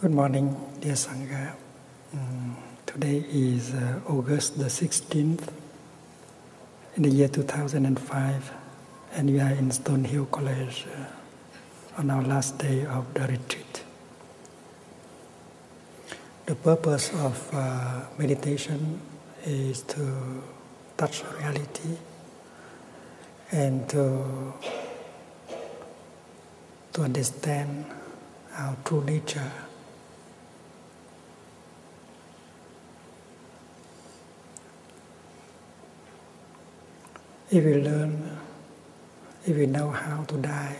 Good morning, dear Sangha. Mm, today is uh, August the 16th in the year 2005, and we are in Stonehill College uh, on our last day of the retreat. The purpose of uh, meditation is to touch reality and to, to understand our true nature. If we learn, if we know how to die,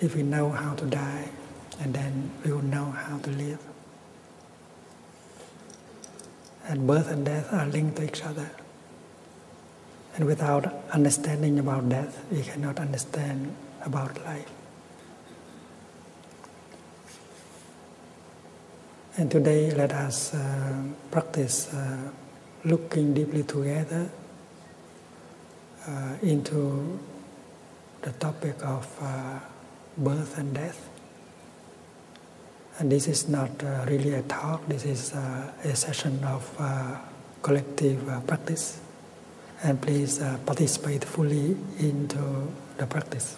if we know how to die, and then we will know how to live. And birth and death are linked to each other. And without understanding about death, we cannot understand about life. And today, let us uh, practice uh, looking deeply together uh, into the topic of uh, birth and death. And this is not uh, really a talk, this is uh, a session of collective practice. And please participate fully into the practice.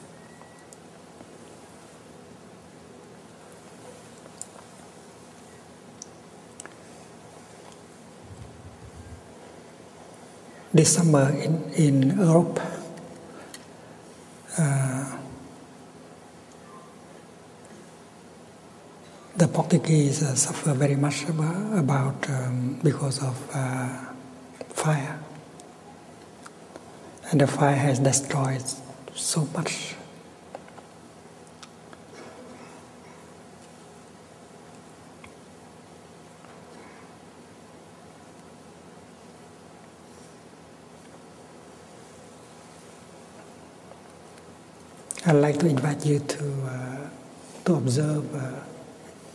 December in, in Europe. Uh, the Portuguese uh, suffer very much about, um, because of uh, fire, and the fire has destroyed so much. I'd like to invite you to uh, to observe, uh,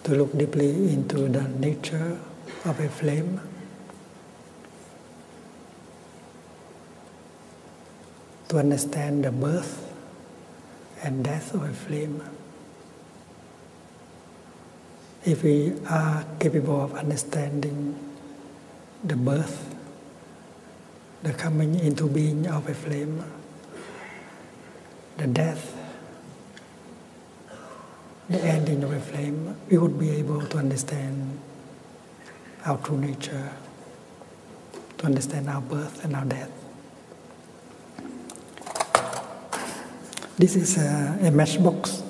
to look deeply into the nature of a flame. To understand the birth and death of a flame. If we are capable of understanding the birth, the coming into being of a flame, the death, the ending of a flame, we would be able to understand our true nature, to understand our birth and our death. This is a, matchbox.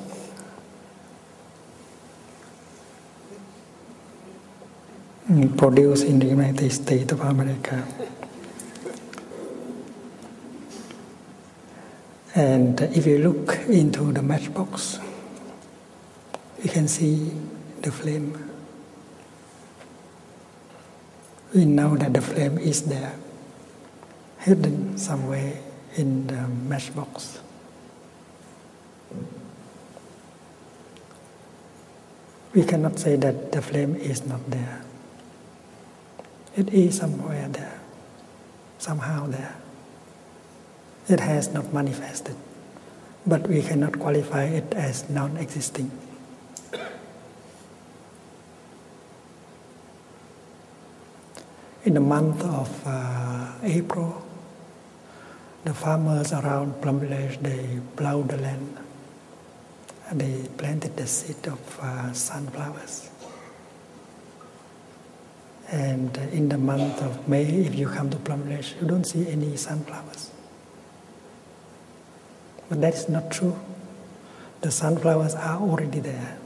mesh produced in the United States of America. And if you look into the matchbox, you can see the flame. We know that the flame is there hidden somewhere in the matchbox. We cannot say that the flame is not there. It is somewhere there, somehow there. It has not manifested, but we cannot qualify it as non existing. In the month of uh, April, the farmers around Plum Village, they plowed the land. they planted the seed of uh, sunflowers. And in the month of May, if you come to Plum Village, you don't see any sunflowers. But that is not true. The sunflowers are already there.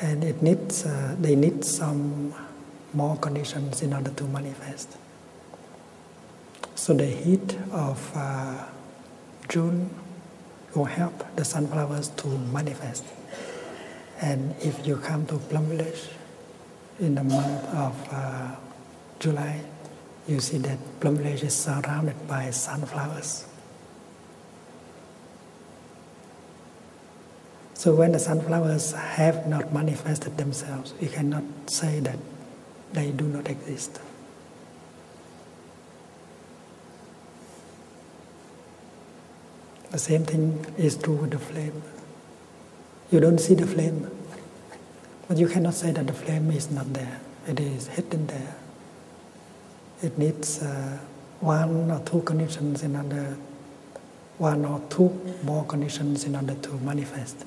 And it needs, uh, they need some more conditions in order to manifest. So the heat of uh, June will help the sunflowers to manifest. And if you come to Plum Village in the month of uh, July, you see that Plum Village is surrounded by sunflowers. So when the sunflowers have not manifested themselves, we cannot say that they do not exist. The same thing is true with the flame. You don't see the flame, but you cannot say that the flame is not there. It is hidden there it needs uh, one or two conditions in order, one or two more conditions in order to manifest.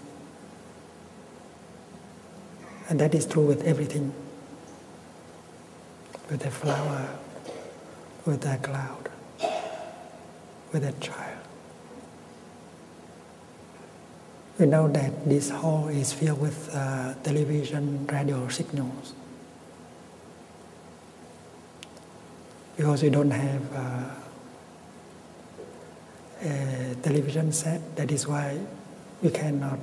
And that is true with everything with a flower, with a cloud, with a child. We know that this hall is filled with uh, television, radio signal because we don't have uh, a television set. That is why we cannot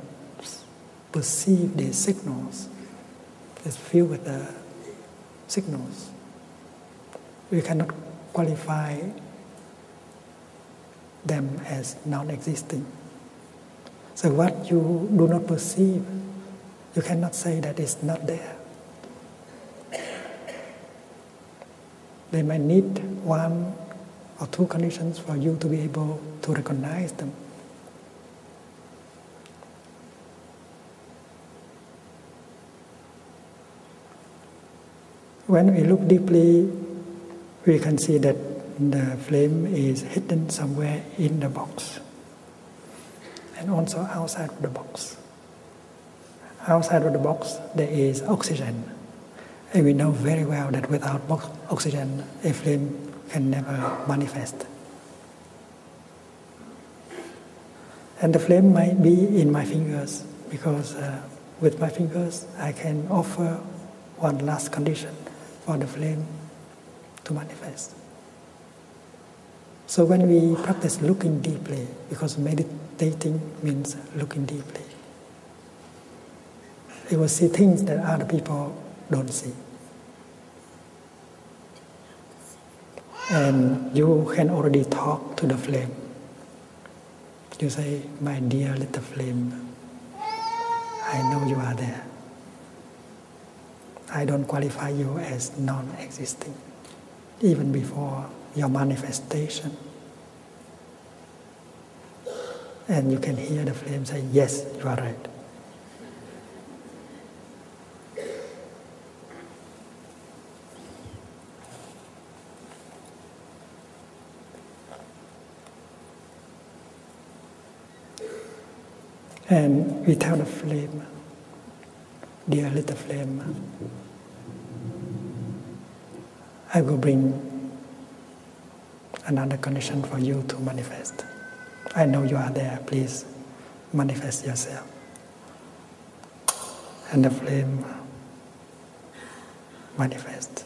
perceive the signals that's filled with the signals. We cannot qualify them as non existing. So, what you do not perceive, you cannot say that it's not there. They may need one or two conditions for you to be able to recognize them. When we look deeply we can see that the flame is hidden somewhere in the box and also outside of the box. Outside of the box, there is oxygen. And we know very well that without oxygen, a flame can never manifest. And the flame might be in my fingers because uh, with my fingers I can offer one last condition for the flame to manifest. So when we practice looking deeply, because meditating means looking deeply, you will see things that other people don't see. And you can already talk to the flame. You say, My dear little flame, I know you are there. I don't qualify you as non existing, even before your manifestation. And you can hear the flame say, Yes, you are right and without the flame, dear little flame, I will bring another condition for you to manifest. I know you are there, please manifest yourself. And the flame manifest.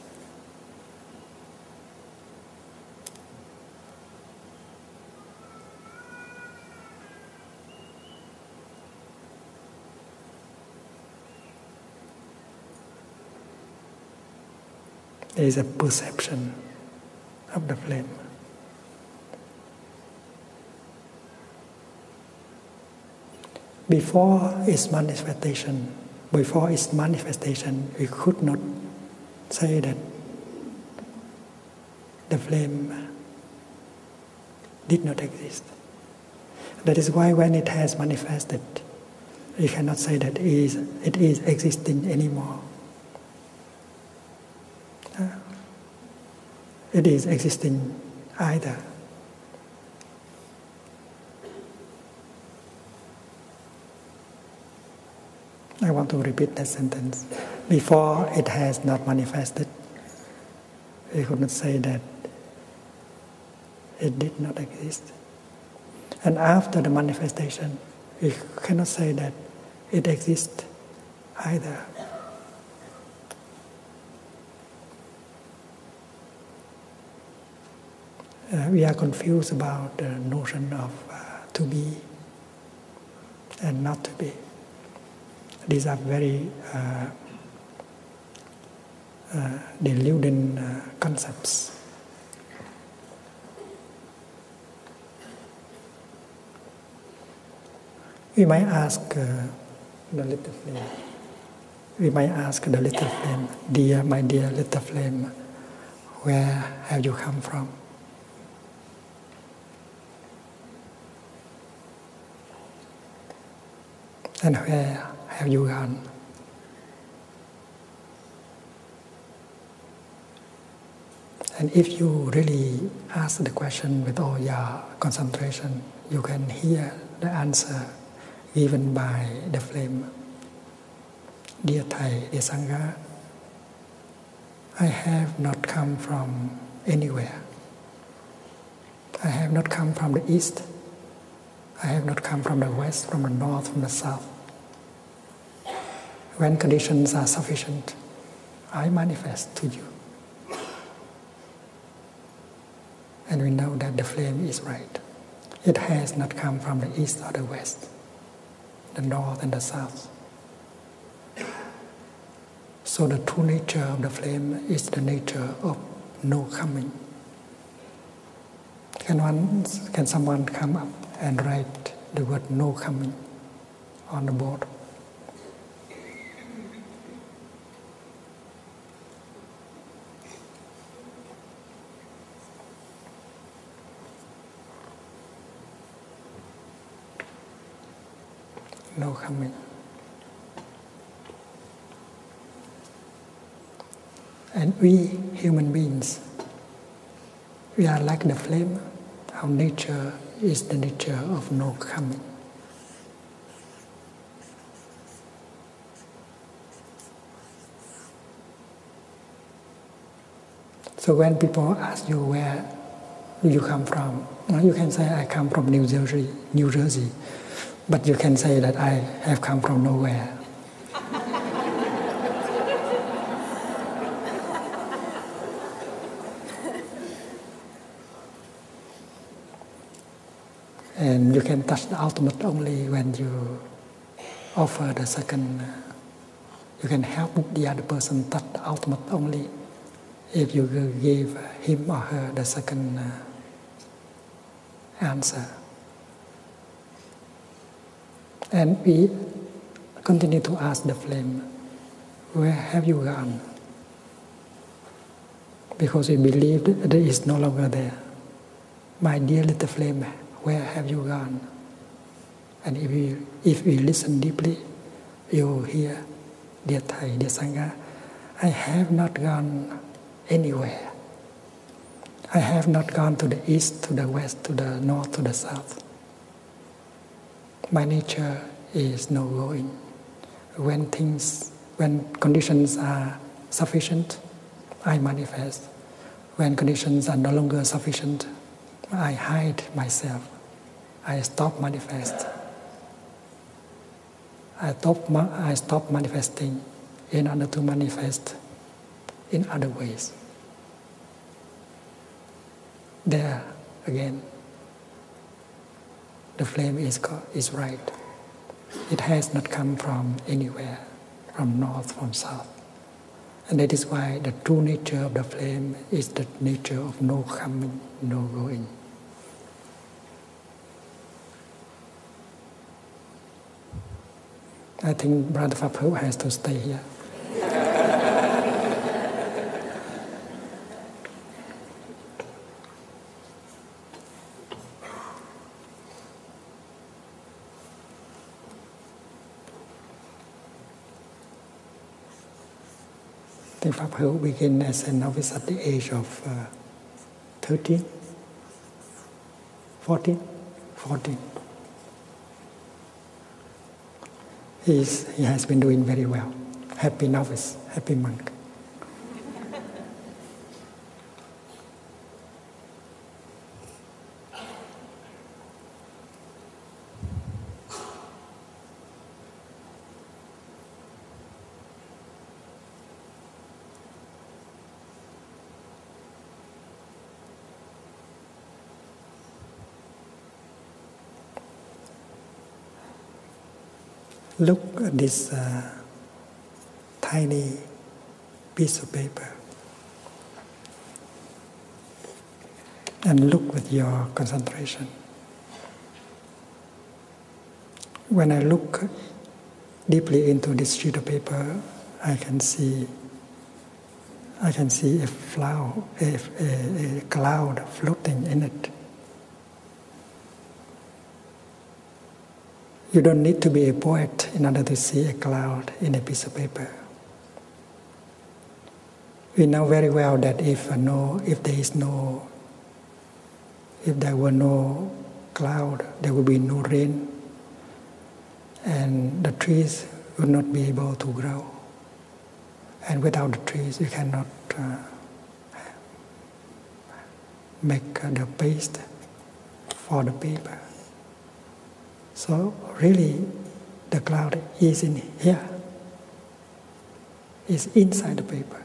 There is a perception of the flame. Before its manifestation, before its manifestation, we could not say that the flame did not exist. That is why when it has manifested, you cannot say that it is, it is existing anymore. Ah. It is existing either. I want to repeat that sentence. Before it has not manifested, we could not say that it did not exist. And after the manifestation, we cannot say that it exists either. Uh, we are confused about the notion of uh, to be and not to be. These are very uh, uh deluding concepts. We might ask the little flame. We might ask the little flame, dear, my dear little flame, where have you come from? And where uh, have you gone? And if you really ask the question with all your concentration, you can hear the answer given by the flame. Dear Thai, dear I have not come from anywhere. I have not come from the east. I have not come from the west, from the north, from the south. When conditions are sufficient, I manifest to you. And we know that the flame is right. It has not come from the east or the west the north and the south. So the true nature of the flame is the nature of no coming. Can one, can someone come up and write the word no coming on the board? No coming. And we human beings, we are like the flame. Our nature is the nature of no coming. So when people ask you where you come from, you can say I come from New Jersey, New Jersey, but you can say that I have come from nowhere. and you can touch the ultimate only when you offer the second uh, you can help the other person touch the ultimate only if you give him or her the second uh, answer. And we continue to ask the flame, where have you gone? Because we believe it is no longer there. My dear little flame, where have you gone? And if we, if we listen deeply, you will hear, the Thai, the Sangha, I have not gone anywhere. I have not gone to the east, to the west, to the north, to the south. My nature is no going. When things, when conditions are sufficient, I manifest when conditions are no longer sufficient, I hide myself. I stop manifest. I stop, I stop manifesting in order to manifest in other ways. There again, the flame is, is right. It has not come from anywhere, from north, from south. And that is why the true nature of the flame is the nature of no coming, no going. I think Brother Fapu has to stay here. Think Pháp Hữu began as a novice at the age of uh, 13, 14, he has been doing very well. Happy novice, happy monk. Look at this uh, tiny piece of paper. and look with your concentration. When I look deeply into this sheet of paper, I can see I can see a flower, a, a, a cloud floating in it. You don't need to be a poet in order to see a cloud in a piece of paper. We know very well that if no, if there is no, if there were no cloud, there would be no rain, and the trees would not be able to grow. And without the trees, you cannot uh, make the paste for the paper. So really, the cloud is in here. It's inside the paper.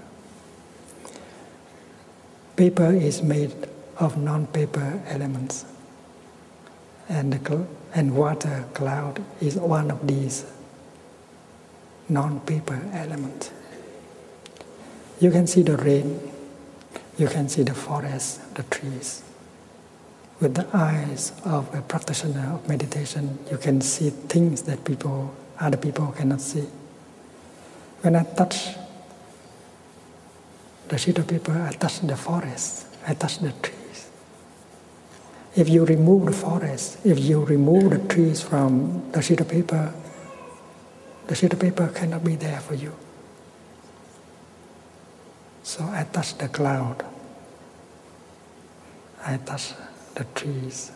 Paper is made of non-paper elements, and and water cloud is one of these non-paper elements. You can see the rain, you can see the forest, the trees, with the eyes of a practitioner of meditation, you can see things that people, other people cannot see. When I touch the sheet of paper, I touch the forest, I touch the trees. If you remove the forest, if you remove the trees from the sheet of paper, the sheet of paper cannot be there for you. So I touch the cloud, I touch the trees.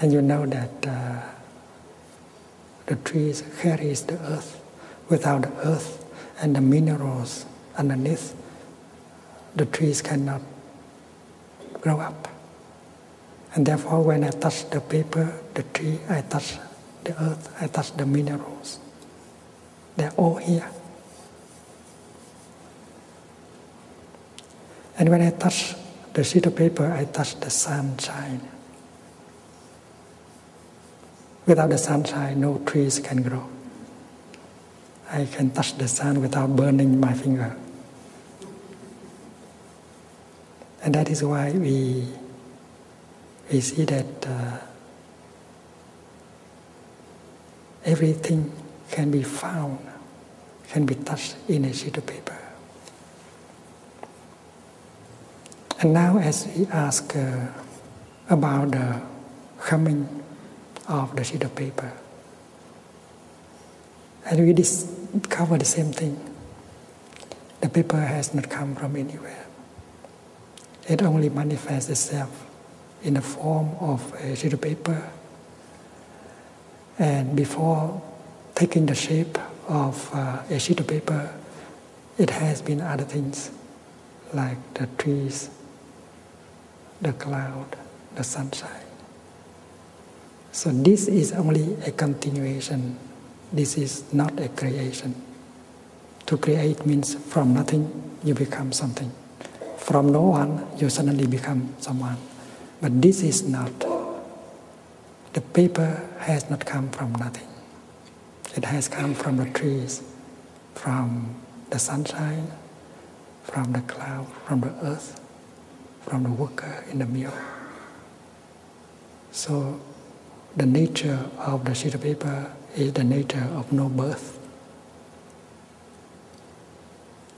And you know that uh, the trees carries the earth. Without the earth and the minerals underneath, the trees cannot grow up. And therefore, when I touch the paper, the tree, I touch the earth, I touch the minerals. They're all here. And when I touch the sheet of paper, I touch the sunshine. Without the sunshine, no trees can grow. I can touch the sun without burning my finger. And that is why we, we see that uh, Everything can be found, can be touched in a sheet of paper. And now, as we ask uh, about the coming of the sheet of paper, and we discover the same thing. The paper has not come from anywhere. It only manifests itself in the form of a sheet of paper. And before taking the shape of uh, a sheet of paper, it has been other things like the trees, the cloud, the sunshine. So this is only a continuation. This is not a creation. To create means from nothing you become something. From no one you suddenly become someone. But this is not. The paper has not come from nothing. It has come from the trees, from the sunshine, from the cloud, from the earth, from the worker in the mill. So the nature of the sheet of paper is the nature of no birth.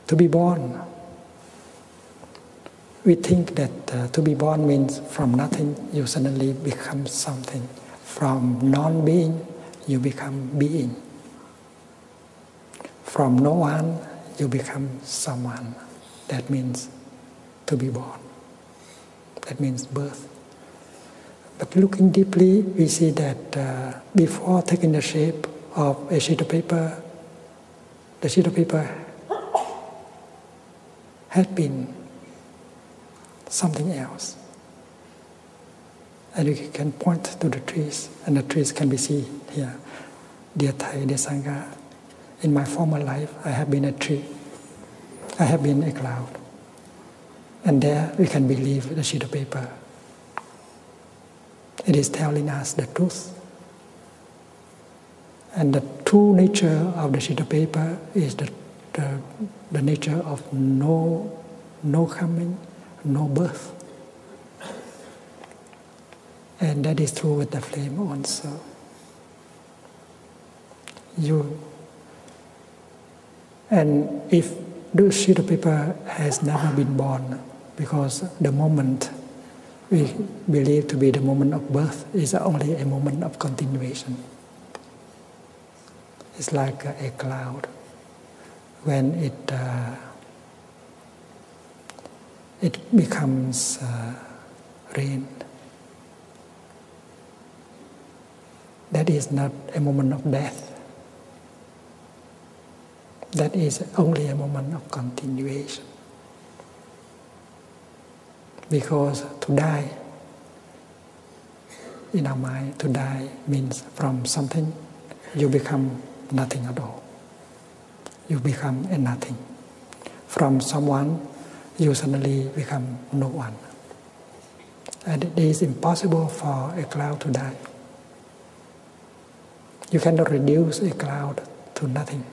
To be born. We think that uh, to be born means from nothing you suddenly become something. From non being, you become being. From no one, you become someone. That means to be born. That means birth. But looking deeply, we see that uh, before taking the shape of a sheet of paper, the sheet of paper had been something else. And you can point to the trees, and the trees can be seen here. Dear Thai, dear Sangha, in my former life, I have been a tree. I have been a cloud. And there we can believe the sheet of paper. It is telling us the truth. And the true nature of the sheet of paper is the, the, the nature of no, no coming, no birth. And that is true with the flame also. You and if this sheet of paper has never been born, because the moment we believe to be the moment of birth is only a moment of continuation. It's like a cloud. When it uh, it becomes uh, rain, that is not a moment of death. That is only a moment of continuation. Because to die in our mind, to die means from something you become nothing at all. You become a nothing. From someone, you suddenly become no one. And it is impossible for a cloud to die. You cannot reduce a cloud to nothing.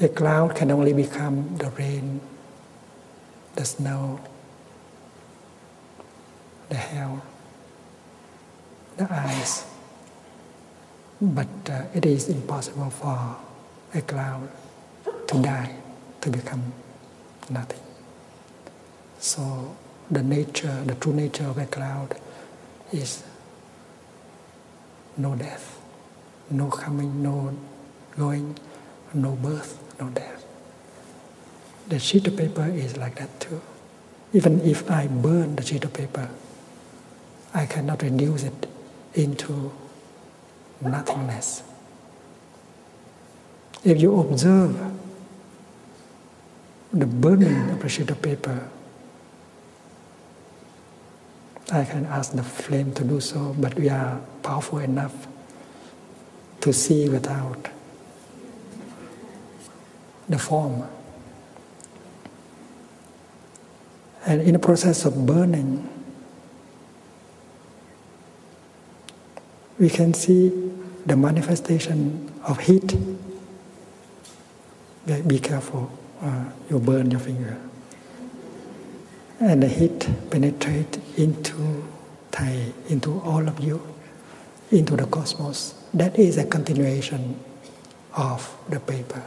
A cloud can only become the rain, the snow, the hail, the ice. But uh, it is impossible for a cloud to die, to become nothing. So the nature, the true nature of a cloud is no death, no coming, no going, no birth, no death. The sheet of paper is like that too. Even if I burn the sheet of paper, I cannot reduce it into nothingness. If you observe the burning of a sheet of paper, I can ask the flame to do so, but we are powerful enough to see without the form. And in the process of burning, we can see the manifestation of heat. Be careful, uh, you burn your finger. And the heat penetrates into Thai, into all of you, into the cosmos. That is a continuation of the paper.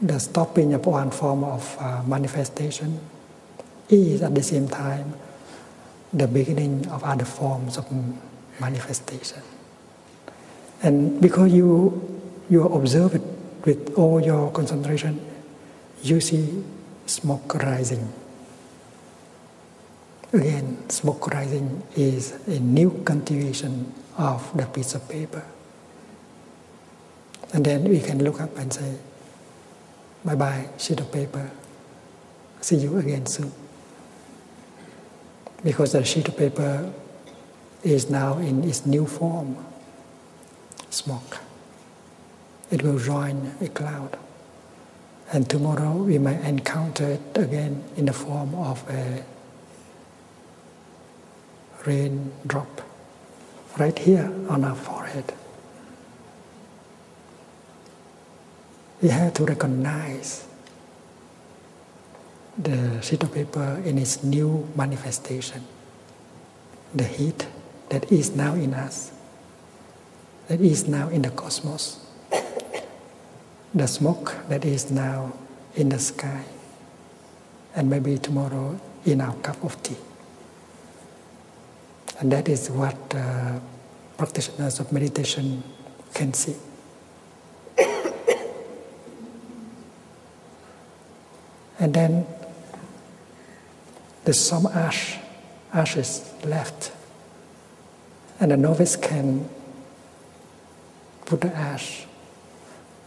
The stopping of one form of uh, manifestation is at the same time the beginning of other forms of manifestation. And because you you observe it with all your concentration, you see smoke rising. Again, smoke rising is a new continuation of the piece of paper. And then we can look up and say, bye bye, sheet of paper. See you again soon. Because the sheet of paper is now in its new form smoke. It will join a cloud. And tomorrow we may encounter it again in the form of a raindrop right here on our forehead. We have to recognize the sheet of paper in its new manifestation, the heat that is now in us, that is now in the cosmos, the smoke that is now in the sky, and maybe tomorrow in our cup of tea. And that is what uh, practitioners of meditation can see. and then there's some ash, ashes left. And the novice can put the ash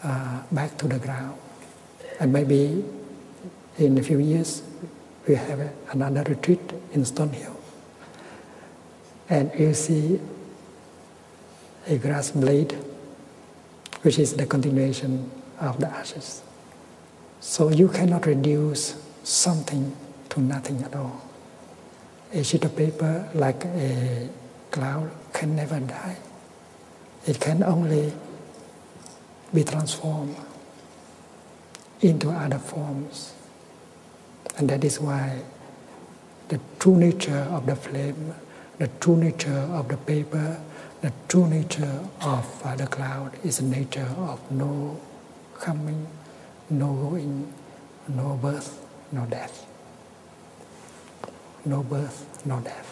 uh, back to the ground and maybe in a few years, we have another retreat in Stonehill. And you see a grass blade, which is the continuation of the ashes. So you cannot reduce something to nothing at all. A sheet of paper, like a cloud, can never die. It can only be transformed into other forms. And that is why the true nature of the flame, the true nature of the paper, the true nature of the cloud is the nature of no coming, no going, no birth, no death. No birth, no death.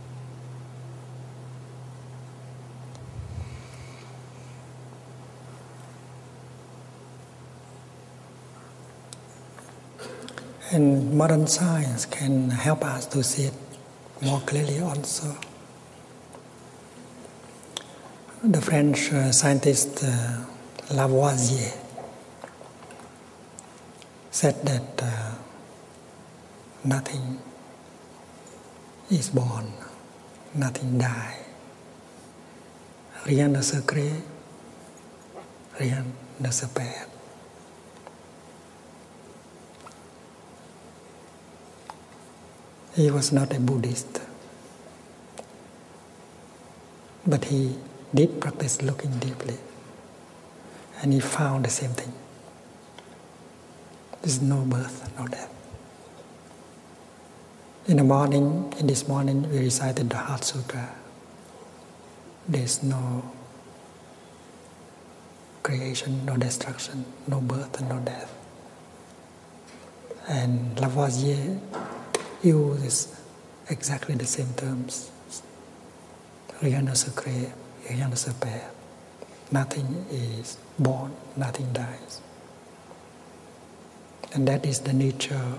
And modern science can help us to see it more clearly also. The French uh, scientist uh, Lavoisier said that uh, nothing is born, nothing dies. Rien ne se crée, rien ne se perd. He was not a Buddhist, but he did practice looking deeply and he found the same thing. There's no birth, no death. In the morning, in this morning, we recited the Heart Sutra. There's no creation, no destruction, no birth, and no death. And Lavoisier used exactly the same terms 300 808 nothing is born, nothing dies. And that is the nature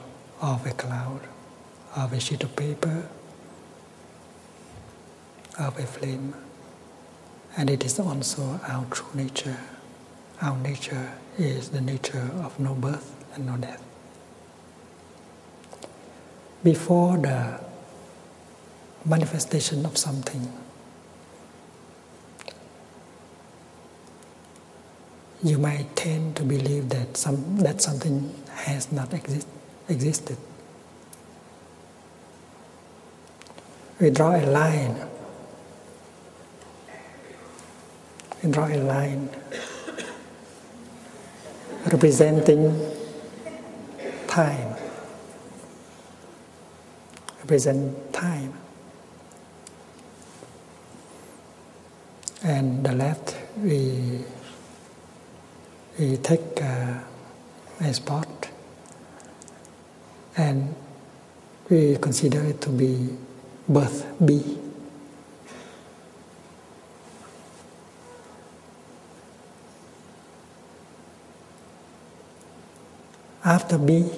of a cloud, of a sheet of paper, of a flame. And it is also our true nature. Our nature is the nature of no birth and no death. Before the manifestation of something. You might tend to believe that some that something has not exist, existed. We draw a line. We draw a line representing time. Represent time. And the left, we, we take uh, a spot and we consider it to be birth B. After B,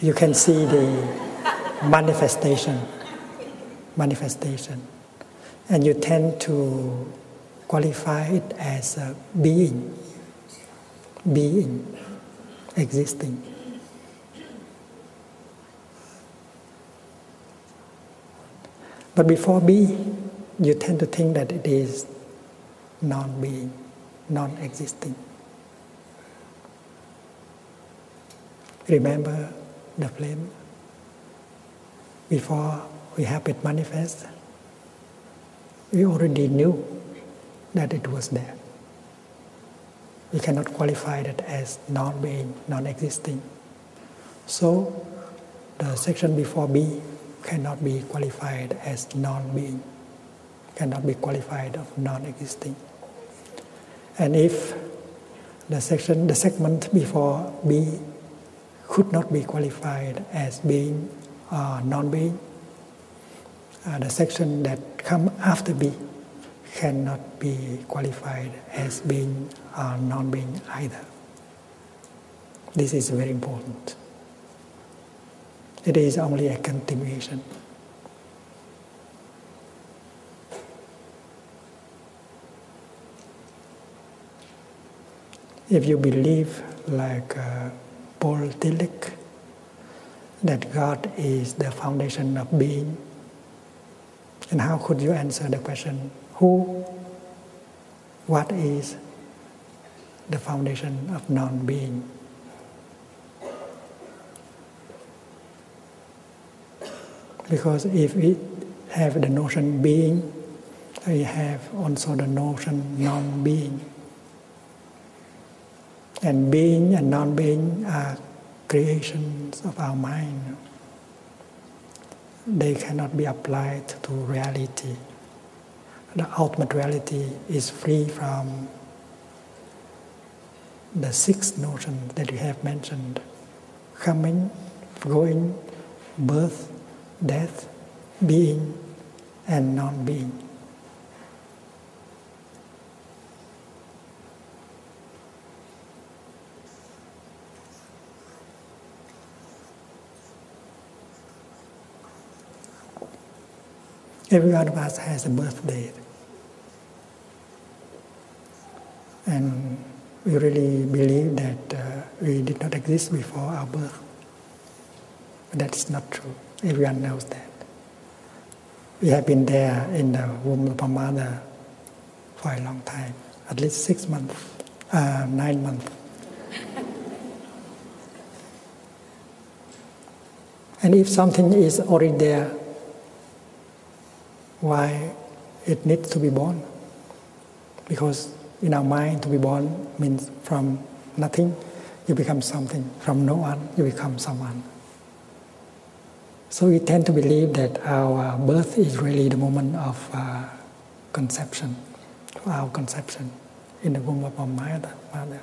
you can see the manifestation. Manifestation. And you tend to qualify it as a being. Being. Existing. But before being, you tend to think that it is non being, non existing. Remember the flame? Before we have it manifest, we already knew that it was there. We cannot qualify it as non being, non existing. So the section before B cannot be qualified as non-being, cannot be qualified of non-existing. And if the section, the segment before B could not be qualified as being or uh, non-being, uh, the section that come after B cannot be qualified as being or uh, non-being either. This is very important. It is only a continuation. If you believe, like uh, Paul Tillich, that God is the foundation of being, and how could you answer the question, who what is the foundation of non being. Because if we have the notion being, we have also the notion non being. And being and non being are creations of our mind they cannot be applied to reality. The ultimate reality is free from the six notions that you have mentioned coming, going, birth, death, being, and non being. Every one of us has a birthday. And we really believe that uh, we did not exist before our birth. But that's not true. Everyone knows that. We have been there in the womb of our mother for a long time, at least six months. Um, nine months. and if something is already there, why it needs to be born? Because in our mind, to be born means from nothing, you become something. From no one, you become someone. So we tend to believe that our birth is really the moment of uh, conception, to our conception in the womb of our mother. mother.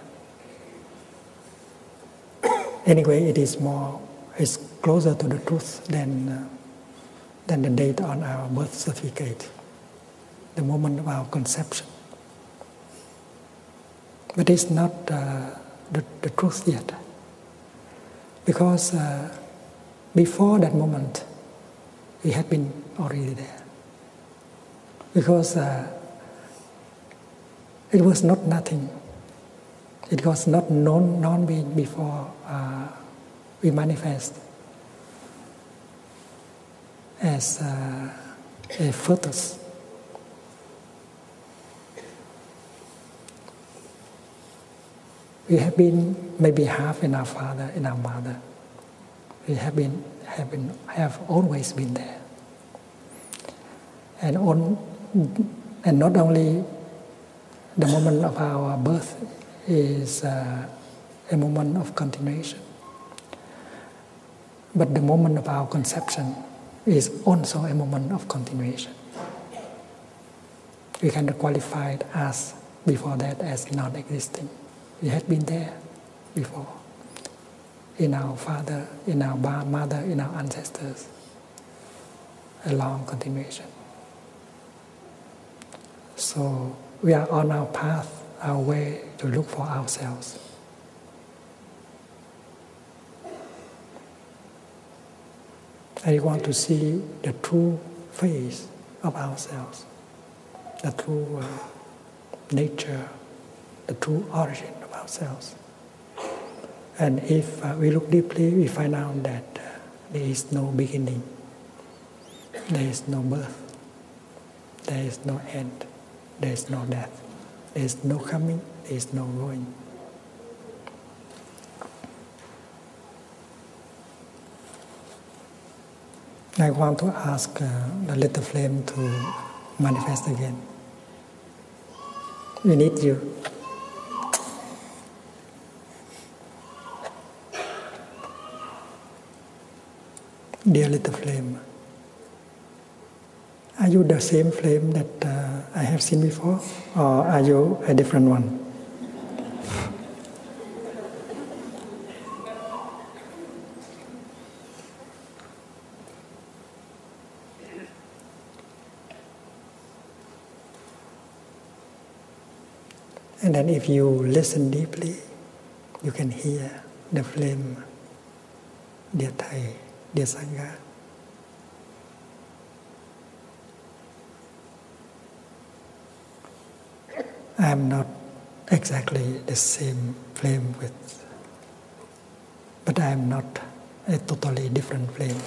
anyway, it is more, it's closer to the truth than, uh, than the date on our birth certificate, the moment of our conception. But it's not uh, the, the truth yet, because uh, before that moment, we had been already there. Because uh, it was not nothing. It was not known non being before uh, we manifest as uh, a fetus. We have been maybe half in our father, in our mother. We have been, have been, have always been there. And on, and not only the moment of our birth is uh, a moment of continuation, but the moment of our conception is also a moment of continuation. We cannot qualify it as before that as non existing. We had been there before in our father, in our mother, in our ancestors. A long continuation. So we are on our path, our way to look for ourselves. We want to see the true face of ourselves the true uh, nature, the true origin of ourselves. And if uh, we look deeply, we find out that uh, there is no beginning, there is no birth, there is no end, there is no death, there is no coming, there is no going. I want to ask uh, the little flame to manifest again. We need you. Dear little flame, are you the same flame that uh, I have seen before, or are you a different one? And then if you listen deeply, you can hear the flame, dear Thai, dear Sangha. I am not exactly the same flame with, but I am not a totally different flame.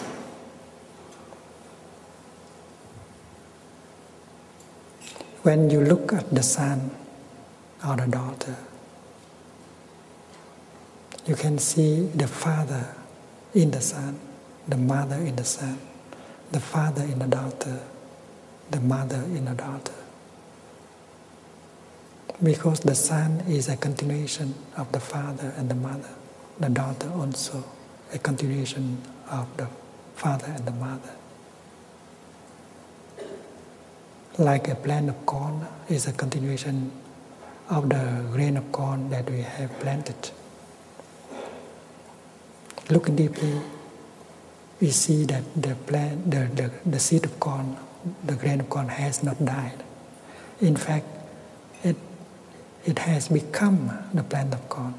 When you look at the son or the daughter, you can see the father in the sun, the mother in the sun, the father in the daughter, the mother in the daughter. Because the son is a continuation of the father and the mother, the daughter also a continuation of the father and the mother. Like a plant of corn is a continuation of the grain of corn that we have planted look deeply, we see that the, plant, the, the, the seed of corn, the grain of corn has not died. In fact, it, it has become the plant of corn.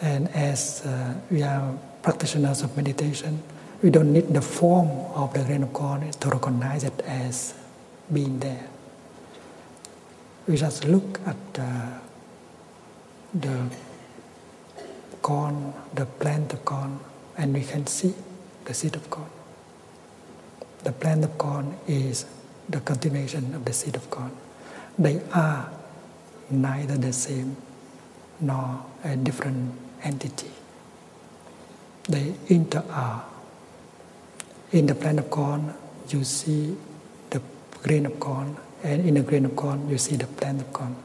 And as uh, we are practitioners of meditation, we don't need the form of the grain of corn to recognize it as being there. We just look at the. Uh, the corn, the plant of corn, and we can see the seed of corn. The plant of corn is the continuation of the seed of corn. They are neither the same nor a different entity. They inter are. In the plant of corn, you see the grain of corn, and in the grain of corn, you see the plant of corn.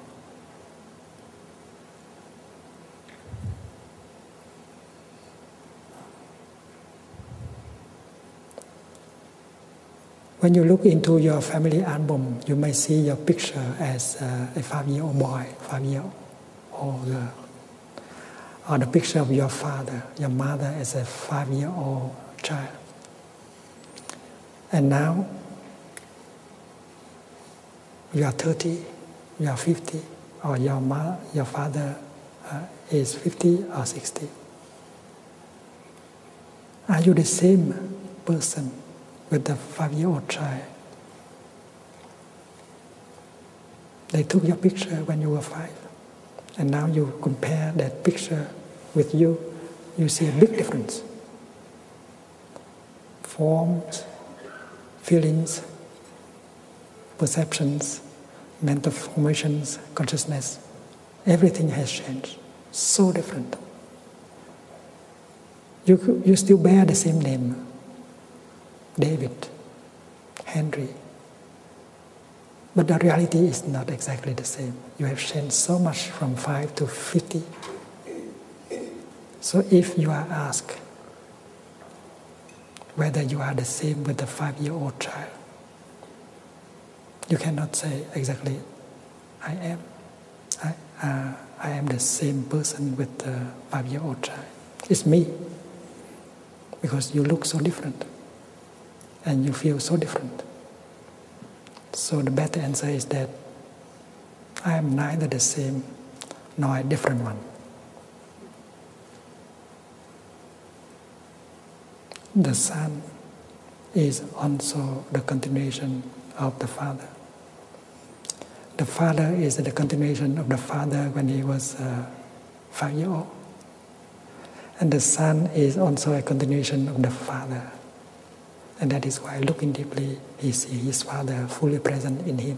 When you look into your family album, you may see your picture as uh, a five year old boy, five year old or the picture of your father, your mother as a five year old child. And now, you are 30, you are 50, or your, mother, your father uh, is 50 or 60. Are you the same person with the five year old child? They took your picture when you were five. And now you compare that picture with you, you see a big difference. Forms, feelings, perceptions, mental formations, consciousness, everything has changed. So different. You, you still bear the same name David, Henry, but the reality is not exactly the same. You have changed so much from 5 to 50. So if you are asked whether you are the same with the five year old child, you cannot say exactly, I am. I, uh, am the same person with the five year old child. It's me. Because you look so different and you feel so different. So the better answer is that I am neither the same nor a different one. The Son is also the continuation of the Father. The Father is the continuation of the Father when he was uh, five years old. And the Son is also a continuation of the Father. And that is why looking deeply, he sees his Father fully present in him.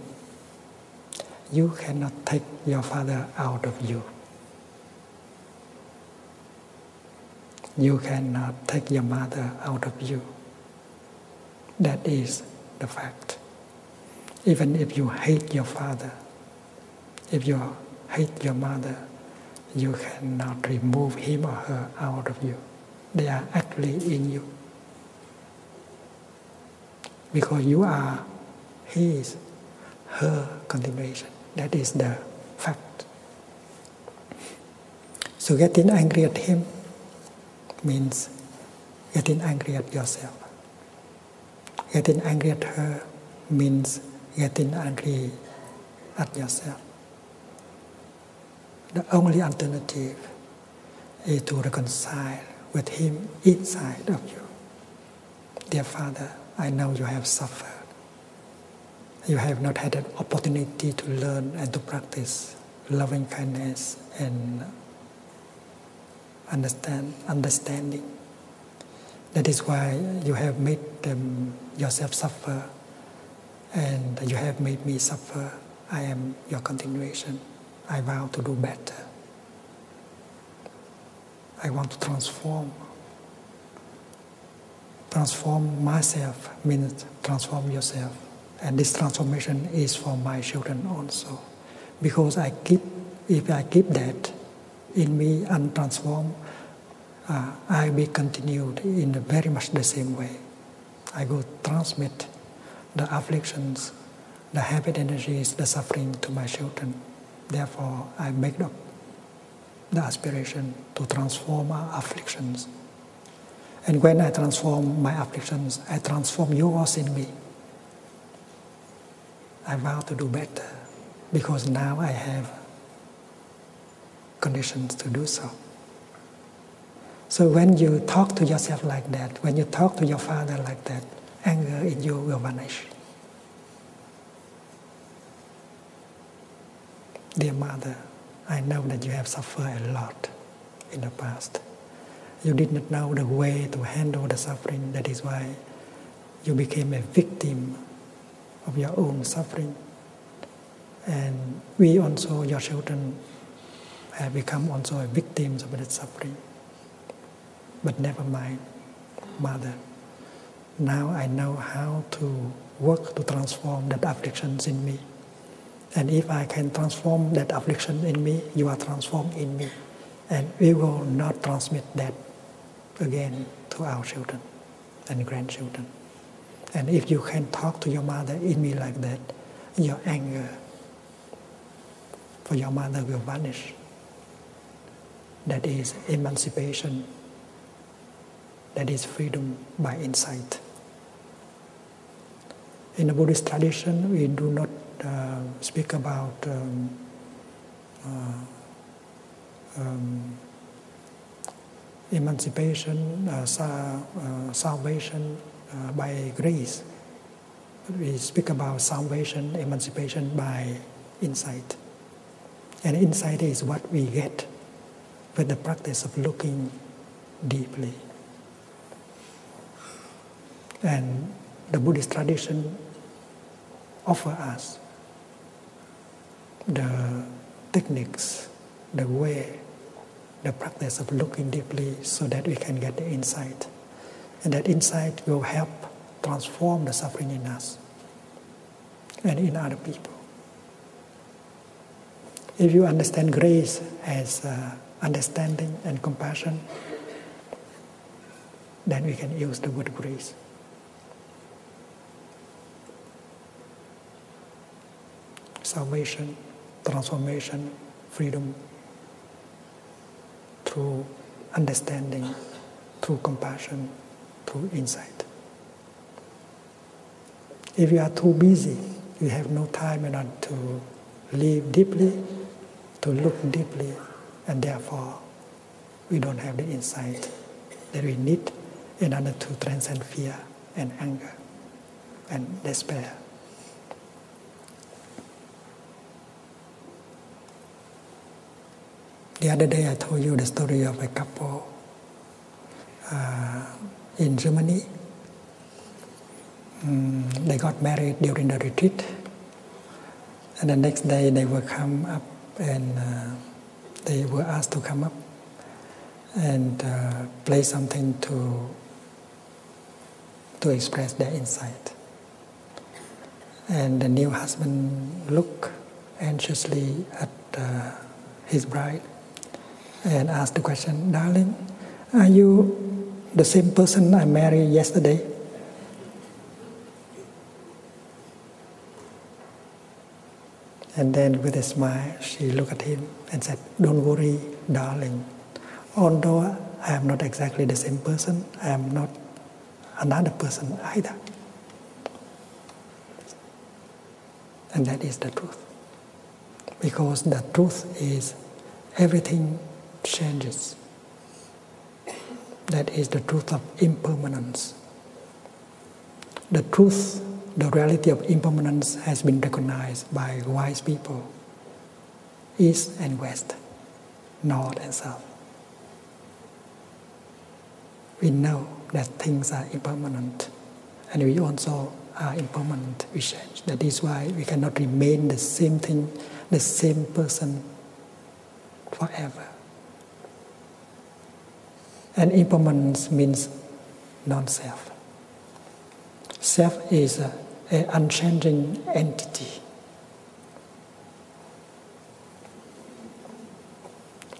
You cannot take your Father out of you. You cannot take your mother out of you. That is the fact. Even if you hate your father, if you hate your mother, you cannot remove him or her out of you. They are actually in you. Because you are his, her continuation. That is the fact. So getting angry at him means getting angry at yourself. Getting angry at her means getting angry at yourself. The only alternative is to reconcile with Him inside of you. Dear Father, I know you have suffered. You have not had an opportunity to learn and to practice loving kindness and understand understanding. That is why you have made them yourself suffer and you have made me suffer. I am your continuation. I vow to do better. I want to transform. Transform myself means transform yourself. And this transformation is for my children also. Because I keep, if I keep that in me and transform uh, I be continued in very much the same way. I will transmit the afflictions, the habit energies, the suffering to my children. Therefore, I make up the aspiration to transform my afflictions. And when I transform my afflictions, I transform yours in me. I vow to do better because now I have conditions to do so. So when you talk to yourself like that, when you talk to your father like that, anger in you will vanish. Dear mother, I know that you have suffered a lot in the past. You did not know the way to handle the suffering, that is why you became a victim of your own suffering. And we also, your children, have become also victims of that suffering. But never mind, mother. Now I know how to work to transform that afflictions in me. And if I can transform that affliction in me, you are transformed in me. And we will not transmit that again to our children and grandchildren. And if you can talk to your mother in me like that, your anger for your mother will vanish. That is emancipation. That is freedom by insight. In the Buddhist tradition, we do not uh, speak about um, uh, um, emancipation, uh, uh, salvation uh, by grace. We speak about salvation, emancipation by insight. And insight is what we get with the practice of looking deeply. And the Buddhist tradition offer us the techniques, the way, the practice of looking deeply so that we can get the insight. And that insight will help transform the suffering in us and in other people. If you understand grace as uh, understanding and compassion, then we can use the word grace salvation, transformation, freedom through understanding, through compassion, through insight. If you are too busy, you have no time enough to live deeply, to look deeply, and therefore we don't have the insight that we need in order to transcend fear and anger and despair. The other day I told you the story of a couple uh, in Germany. Mm, they got married during the retreat, and the next day they were come up and uh, they were asked to come up and uh, play something to to express their insight. And the new husband looked anxiously at uh, his bride and asked the question, "Darling, are you the same person I married yesterday?" And then with a smile, she looked at him and said, Don't worry, darling. Although I am not exactly the same person, I am not another person either. And that is the truth. Because the truth is everything changes. That is the truth of impermanence. The truth, the reality of impermanence has been recognized by wise people, East and West, North and South. We know that things are impermanent and we also are impermanent, we change. That is why we cannot remain the same thing, the same person forever. And impermanence means non self. Self is an unchanging entity.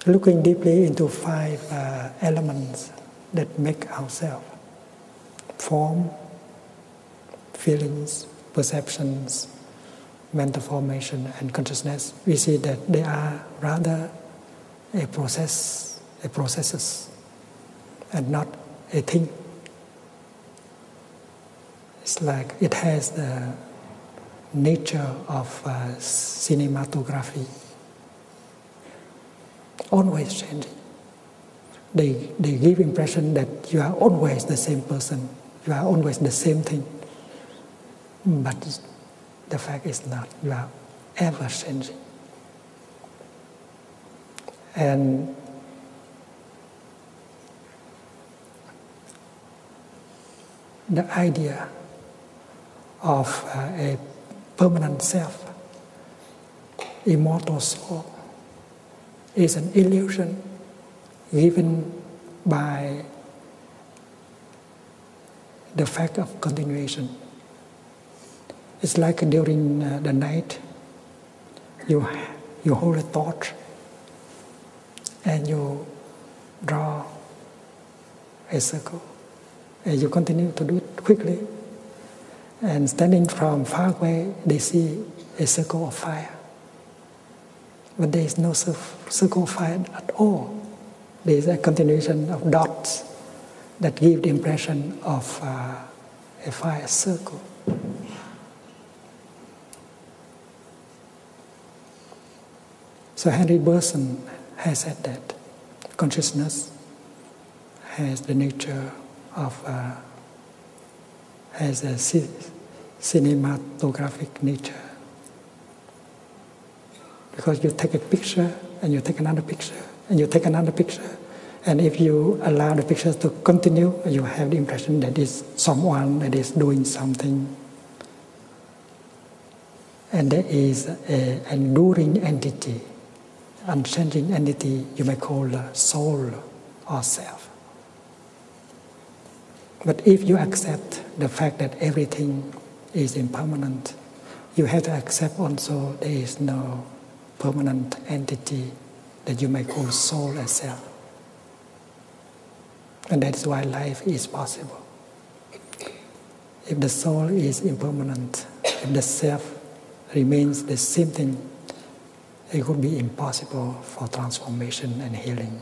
Looking deeply into five uh, elements that make ourselves form, feelings, perceptions, mental formation, and consciousness, we see that they are rather a process, a processes, and not a thing. It's like it has the nature of uh, cinematography, always changing. They, they give impression that you are always the same person, you are always the same thing, but the fact is not, you are ever changing. And the idea of uh, a permanent self, immortal soul, is an illusion given by the fact of continuation. It's like during uh, the night, you, you hold a thought and you draw a circle. And you continue to do it quickly. And standing from far away, they see a circle of fire. But there is no circle of fire at all. There is a continuation of dots that give the impression of uh, a fire circle. So Henry Burson has said that consciousness has the nature of uh, has a cinematographic nature. Because you take a picture and you take another picture and you take another picture. And if you allow the pictures to continue, you have the impression that is someone that is doing something. And there is an enduring entity, unchanging entity you may call soul or self. But if you accept the fact that everything is impermanent. You have to accept also there is no permanent entity that you may call soul as self. And that is why life is possible. If the soul is impermanent, if the self remains the same thing, it would be impossible for transformation and healing.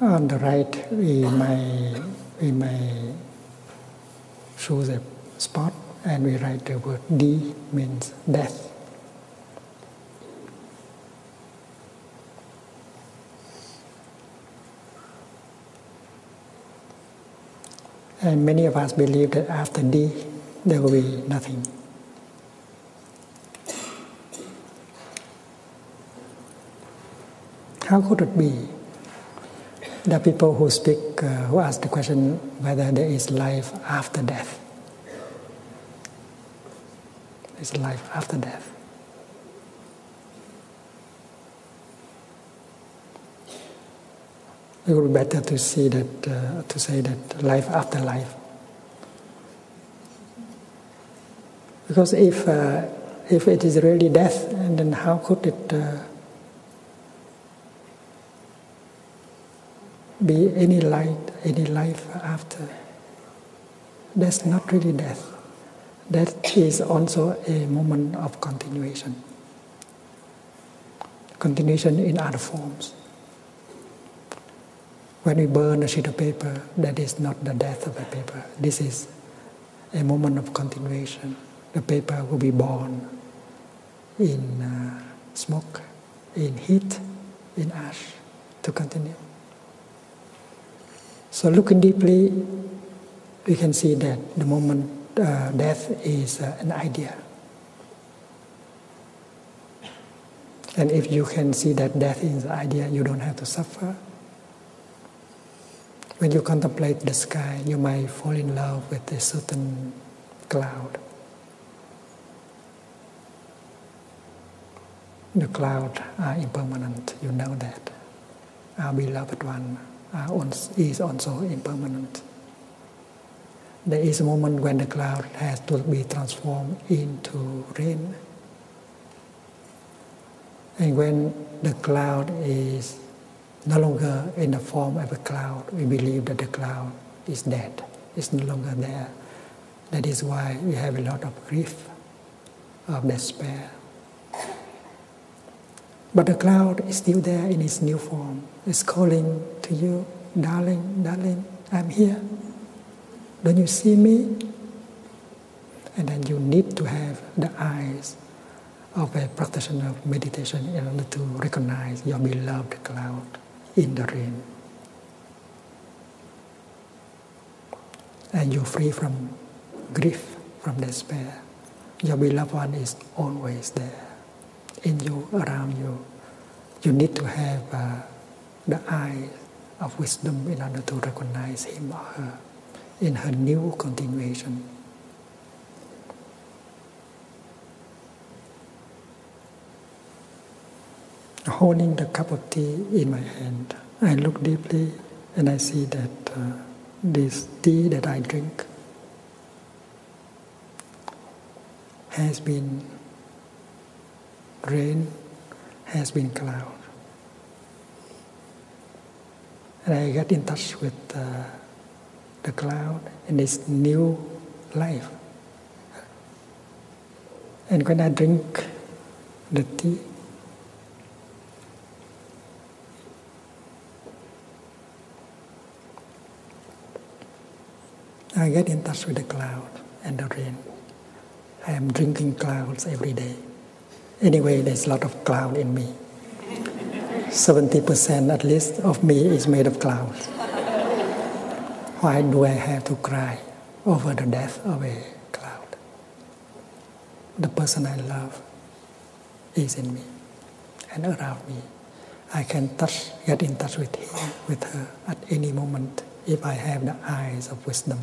On the right, we may, we may choose a spot and we write the word D means death. And many of us believe that after death, there will be nothing. How could it be The people who speak, uh, who ask the question whether there is life after death? is life after death. It would be better to see that, uh, to say that life after life. Because if, uh, if it is really death, and then how could it uh, be any light, any life after? That's not really death. That is also a moment of continuation continuation in other forms. When we burn a sheet of paper, that is not the death of the paper. This is a moment of continuation. The paper will be born in uh, smoke, in heat, in ash to continue. So, looking deeply, we can see that the moment uh, death is uh, an idea. And if you can see that death is the idea, you don't have to suffer. When you contemplate the sky, you might fall in love with a certain cloud. The clouds are impermanent, you know that. Our beloved one is also impermanent. There is a moment when the cloud has to be transformed into rain. And when the cloud is no longer in the form of a cloud, we believe that the cloud is dead, it's no longer there. That is why we have a lot of grief, of despair. But the cloud is still there in its new form is calling to you, darling, darling, I'm here. Don't you see me? And then you need to have the eyes of a practitioner of meditation in order to recognize your beloved cloud in the rain. And you're free from grief, from despair. Your beloved one is always there, in you, around you, you need to have uh, the eye of wisdom in order to recognize him or her in her new continuation. Holding the cup of tea in my hand, I look deeply and I see that uh, this tea that I drink has been rain, has been cloud. And I get in touch with uh, the cloud in its new life. And when I drink the tea, I get in touch with the cloud and the rain. I am drinking clouds every day. Anyway, there's a lot of cloud in me. 70% at least of me is made of clouds. Why do I have to cry over the death of a cloud? The person I love is in me and around me. I can touch, get in touch with him, with her at any moment if I have the eyes of wisdom.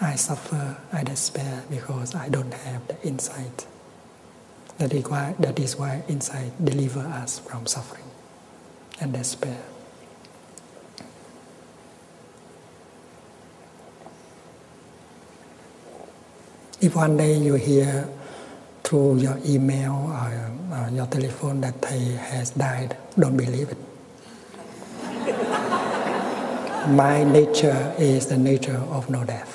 I suffer, I despair because I don't have the insight. That is why, that is why insight delivers us from suffering and despair. If one day you hear through your email or, uh, your telephone that Thai has died, don't believe it. My nature is the nature of no death.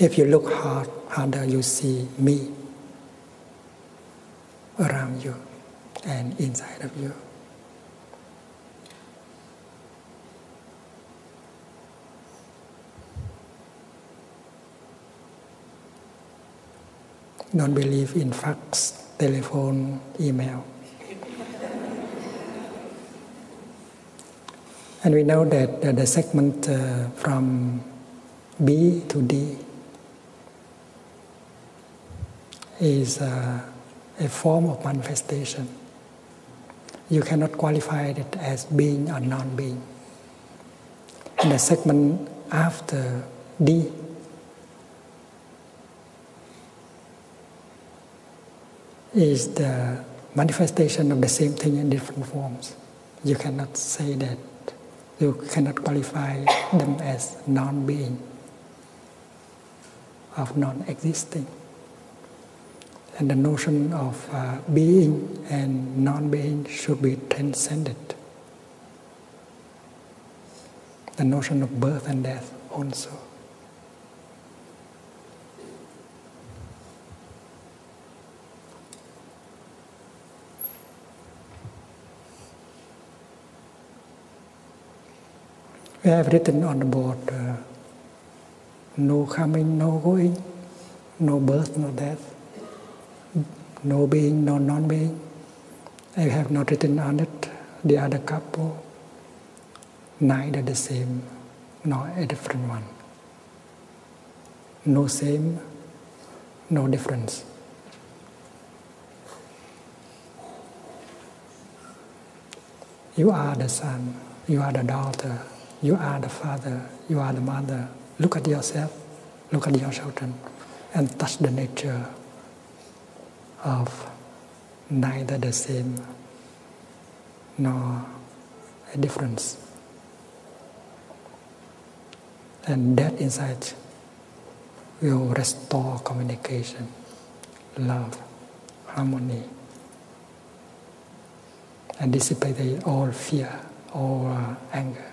If you look hard, harder, you see me around you and inside of you. Don't believe in facts, telephone, email. and we know that the segment uh, from B to D is uh, a form of manifestation. You cannot qualify it as being or non being and the segment after D. is the manifestation of the same thing in different forms. You cannot say that, you cannot qualify them as non being, of non existing. And the notion of uh, being and non being should be transcended. The notion of birth and death also. We have written on the board uh, no coming, no going no birth, no death, no being, no non being. I have not written on it the other couple, neither the same nor a different one. No same, no difference. You are the son, you are the daughter, you are the father, you are the mother. Look at yourself look at your and, and touch the nature of neither the sin nor a difference. And that insight will restore communication, love, harmony, and dissipate all fear, or uh, anger,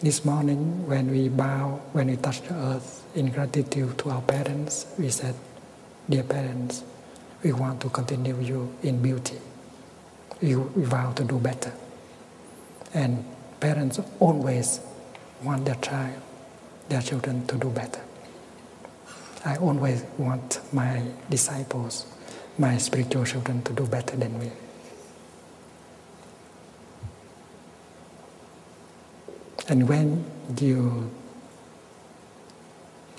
this morning, when we bow, when we touch the earth in gratitude to our parents, we said, Dear parents, we want to continue you in beauty. We, vow to do better. And parents always want their child, their children to do better. I always want my disciples, my spiritual children, to do better than me. And when you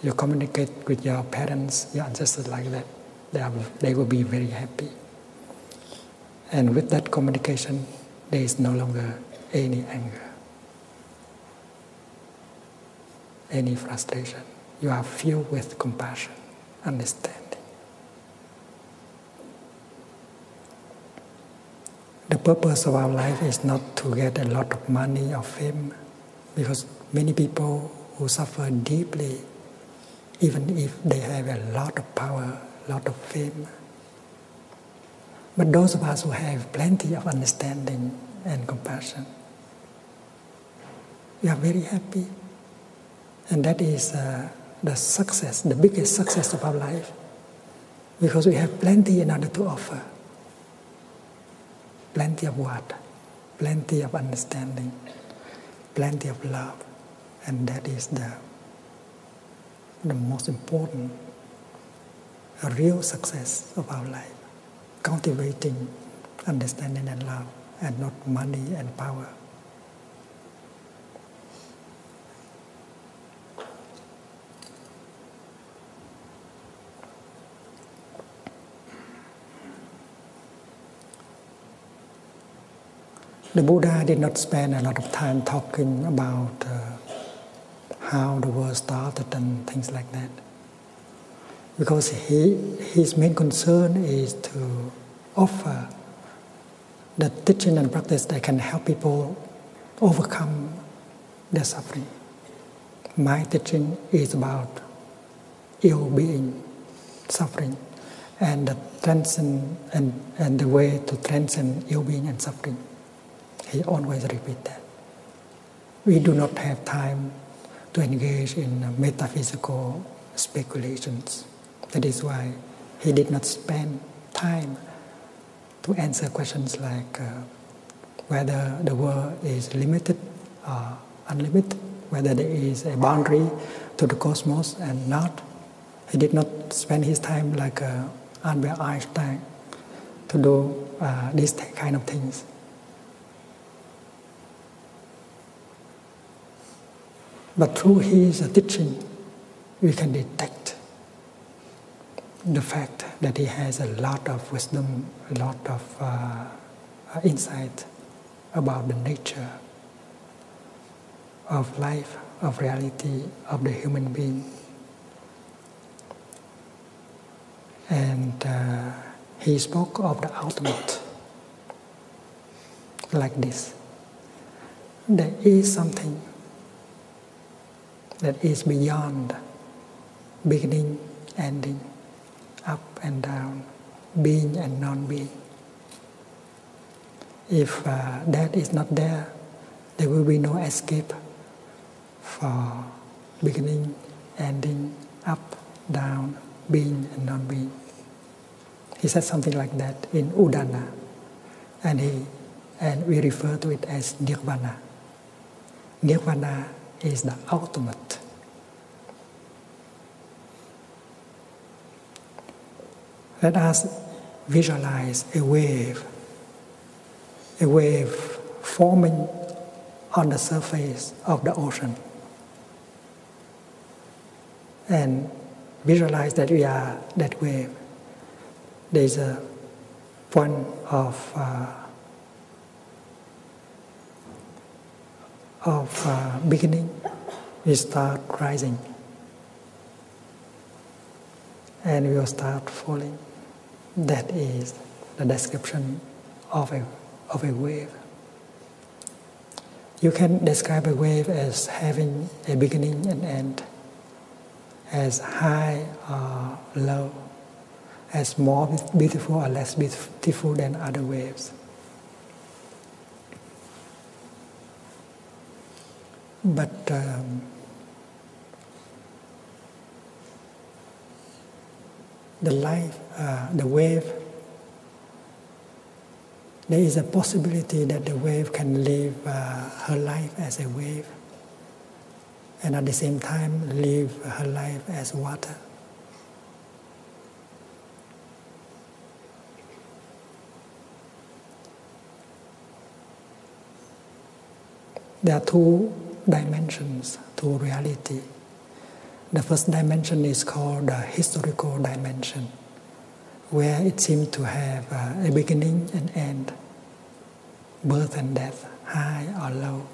you communicate with your parents, your ancestors like that, they, are, they will be very happy. And with that communication, there is no longer any anger any frustration. You are filled with compassion, understanding. The purpose of our life is not to get a lot of money or fame, because many people who suffer deeply, even if they have a lot of power, lot of fame. But those of us who have plenty of understanding and compassion, we are very happy. And that is uh, the success, the biggest success of our life, because we have plenty in order to offer. Plenty of what? Plenty of understanding, plenty of love, and that is the, the most important, real success of our life cultivating understanding and love, and not money and power. The Buddha did not spend a lot of time talking about uh, how the world started and things like that. Because he, his main concern is to offer the teaching and practice that can help people overcome their suffering. My teaching is about ill being, suffering, and the transcend and, and the way to transcend ill being and suffering. He always repeat that we do not have time to engage in uh, metaphysical speculations. That is why he did not spend time to answer questions like uh, whether the world is limited or unlimited, whether there is a boundary to the cosmos and not. He did not spend his time like uh, Albert Einstein to do these kind of things. But through his teaching, we can detect the fact that he has a lot of wisdom, a lot of uh, insight about the nature of life, of reality, of the human being. And uh, he spoke of the ultimate like this. There is something that is beyond beginning, ending, up and down, being and non being. If uh, that is not there, there will be no escape for beginning, ending, up, down, being and non-being. He said something like that in Udana, and he and we refer to it as Nirvana. Nirvana is the ultimate. Let us visualize a wave, a wave forming on the surface of the ocean and visualize that we are that wave. There is a point of uh, of uh, beginning. We start rising, and we will start falling. That is the description of a of a wave. You can describe a wave as having a beginning and end, as high or low, as more beautiful or less beautiful than other waves. But um, the life, uh, the wave, there is a possibility that the wave can live uh, her life as a wave and at the same time live her life as water. There are two dimensions to reality the first dimension is called the historical dimension, where it seems to have a beginning and end, birth and death, high or low,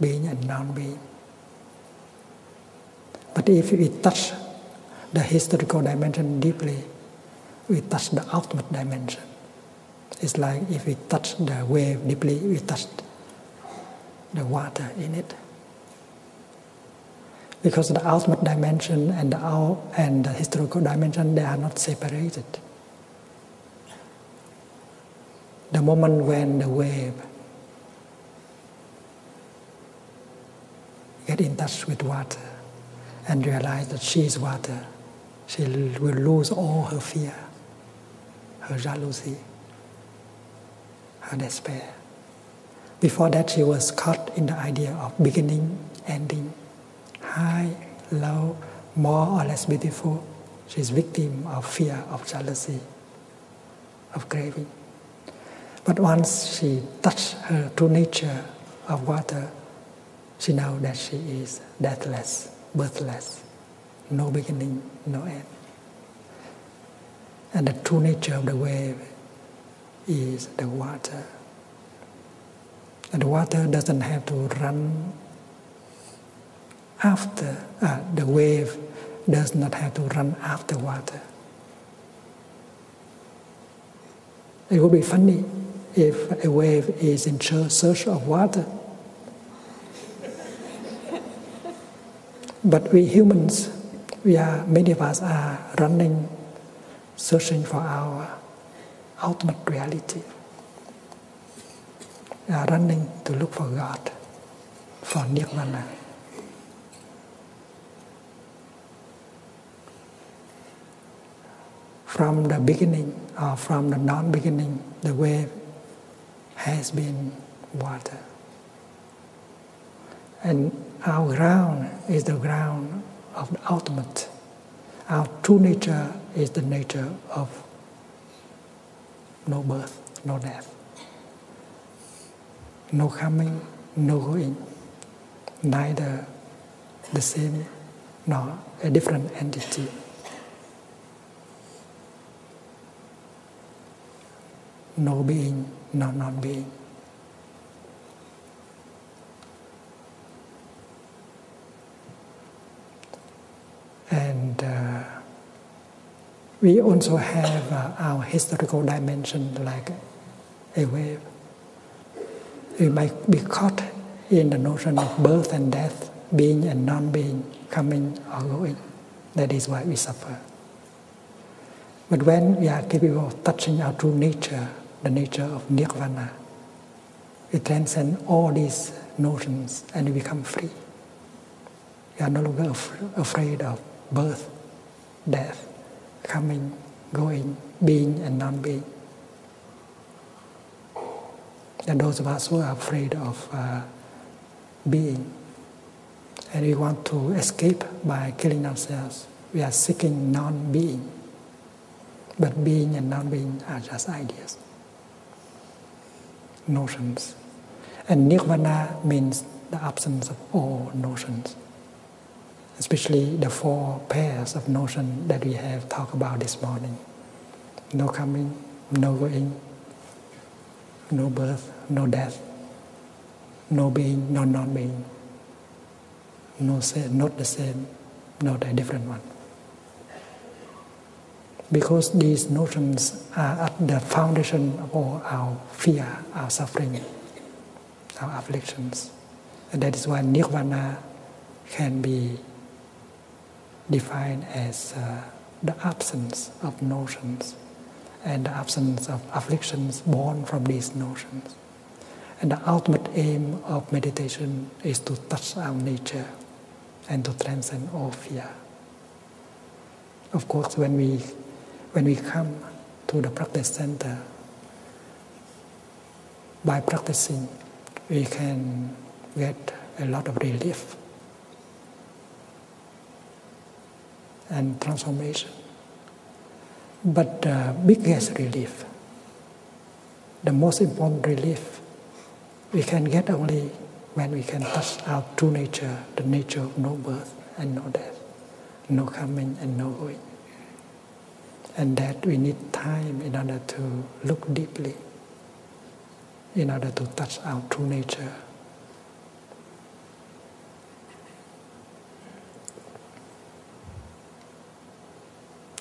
being and non being. But if we touch the historical dimension deeply, we touch the ultimate dimension. It's like if we touch the wave deeply, we touch the water in it. Because the ultimate dimension and the, out, and the historical dimension, they are not separated. The moment when the wave get in touch with water and realize that she is water, she will lose all her fear, her jealousy, her despair. Before that, she was caught in the idea of beginning, ending, high, low, more or less beautiful. She's victim of fear, of jealousy, of craving. But once she touched her true nature of water, she knows that she is deathless, birthless, no beginning, no end. And the true nature of the wave is the water. And the water doesn't have to run after, uh, the wave does not have to run after water. It would be funny if a wave is in search of water. But we humans, we are many of us are running, searching for our ultimate reality. We are running to look for God, for Nirvana. From the beginning or from the non beginning, the wave has been water. And our ground is the ground of the ultimate. Our true nature is the nature of no birth, no death, no coming, no going, neither the same nor a different entity no being, no non being. And uh, we also have uh, our historical dimension like a wave. We might be caught in the notion of birth and death, being and non being, coming or going. That is why we suffer. But when we are capable of touching our true nature, the nature of nirvana, we transcend all these notions and we become free. We are no longer afraid of birth, death, coming, going, being, and non being. And those of us who are afraid of uh, being. And we want to escape by killing ourselves. We are seeking non being. But being and non being are just ideas, notions. And nirvana means the absence of all notions, especially the four pairs of notion that we have talked about this morning no coming, no going, no birth, no death, no being, not non being, no same, not the same, not a different one. Because these notions are at the foundation of our fear, our suffering, our afflictions. And that is why nirvana can be defined as uh, the absence of notions and the absence of afflictions born from these notions. And the ultimate aim of meditation is to touch our nature and to transcend all fear. Of course, when we, when we come to the practice center, by practicing, we can get a lot of relief and transformation. But the uh, biggest relief, the most important relief, we can get only when we can touch our true nature, the nature of no birth and no death, no coming and no going. And that we need time in order to look deeply, in order to touch our true nature,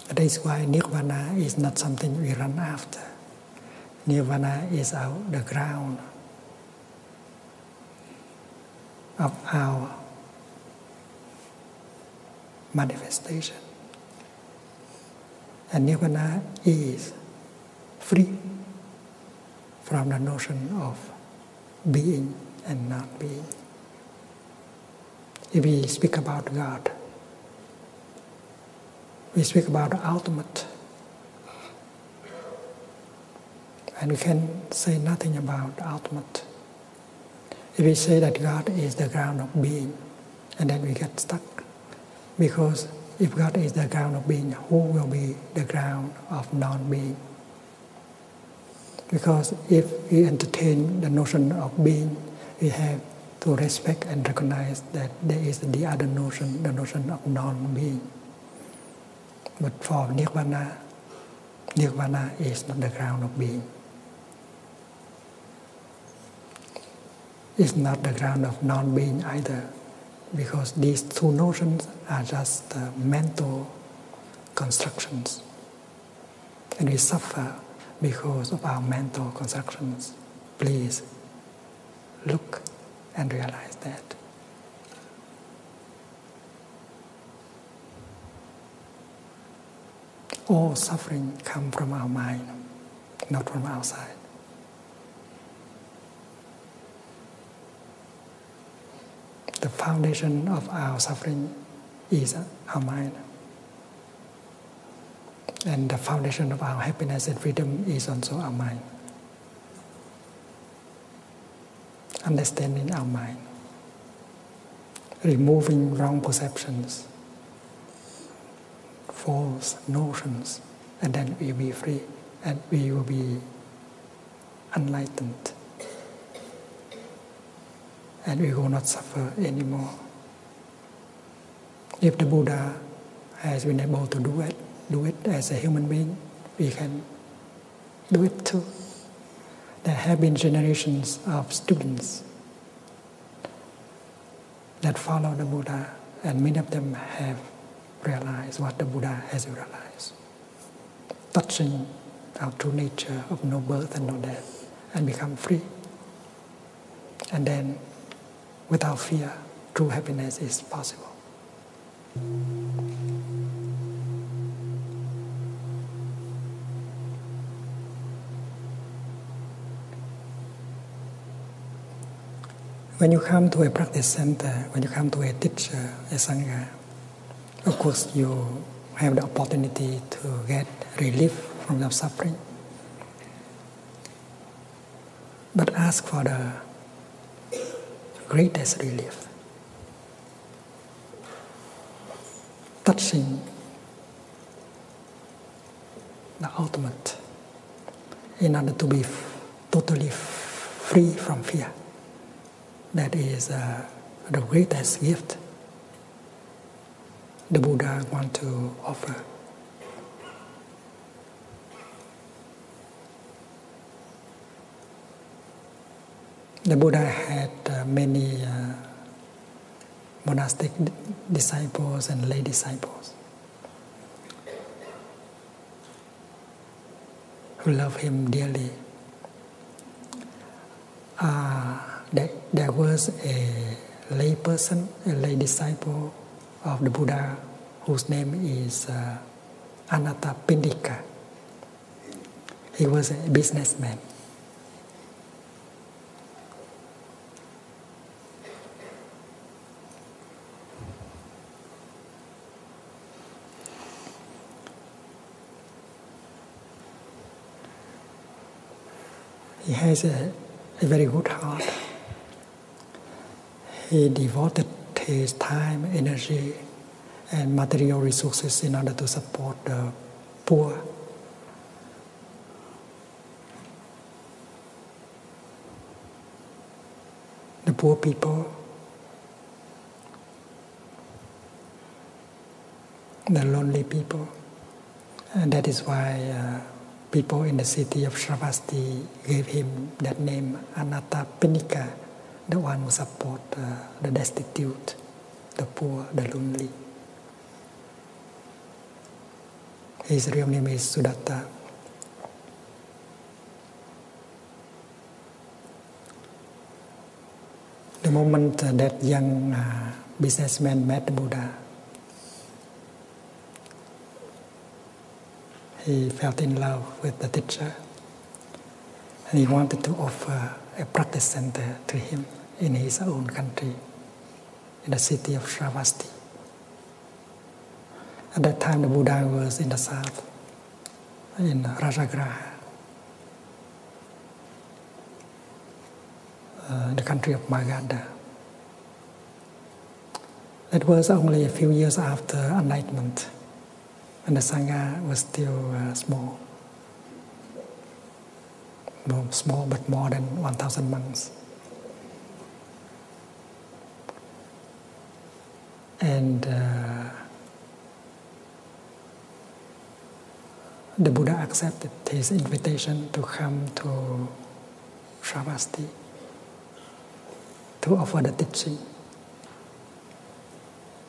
that is why nirvana is not something we run after. Nirvana is out the ground of our manifestation. And nirvana is free from the notion of being and not being. If we speak about God, we speak about the ultimate, and we can say nothing about the ultimate. If we say that God is the ground of being, and then we get stuck, because if God is the ground of being, who will be the ground of non being. Because if we entertain the notion of being, we have to respect and recognize that there is the other notion, the notion of non being. But for Nirvana, Nirvana is not the ground of being. It's not the ground of non being either because these two notions are just mental constructions. And we suffer because of our mental constructions. Please look and realize that. All suffering comes from our mind, not from outside. The foundation of our suffering is our mind. And the foundation of our happiness and freedom is also our mind. Understanding our mind, removing wrong perceptions, false notions, and then we'll be free and we will be enlightened. And we will not suffer anymore. If the Buddha has been able to do it, do it as a human being, we can do it too. There have been generations of students that follow the Buddha, and many of them have realized what the Buddha has realized touching our true nature of no birth and no death and become free. And then, without fear, true happiness is possible. When you come to a practice center, when you come to a teacher, a sangha, of course, you have the opportunity to get relief from the suffering. But ask for the greatest relief. Touching the ultimate in order to be totally free from fear. That is uh, the greatest gift the Buddha want to offer. The Buddha had uh, many uh, monastic disciples and lay disciples who loved him dearly. Uh, there was a lay person, a lay disciple of the Buddha, whose name is uh, Anathapindika. He was a businessman. He has a, very good heart. He devoted his time, energy, and material resources in order to support the poor. The poor people the lonely people. And uh, that is why uh, people in the city of Shravasti gave him that name Anattapinika, the one who supports uh, the destitute, the poor, the lonely. His real name is Sudatta. The moment that young uh, businessman met the Buddha, he felt in love with the teacher and he wanted to offer a practice center to him in his own country, in the city of Shravasti. At that time, the Buddha was in the south in Rajagraha, uh, the country of Magadha. That was only a few years after enlightenment, and the Sangha was still uh, small. small, but more than 1,000 monks and uh, the Buddha accepted his invitation to come to Shravasti to offer the teaching.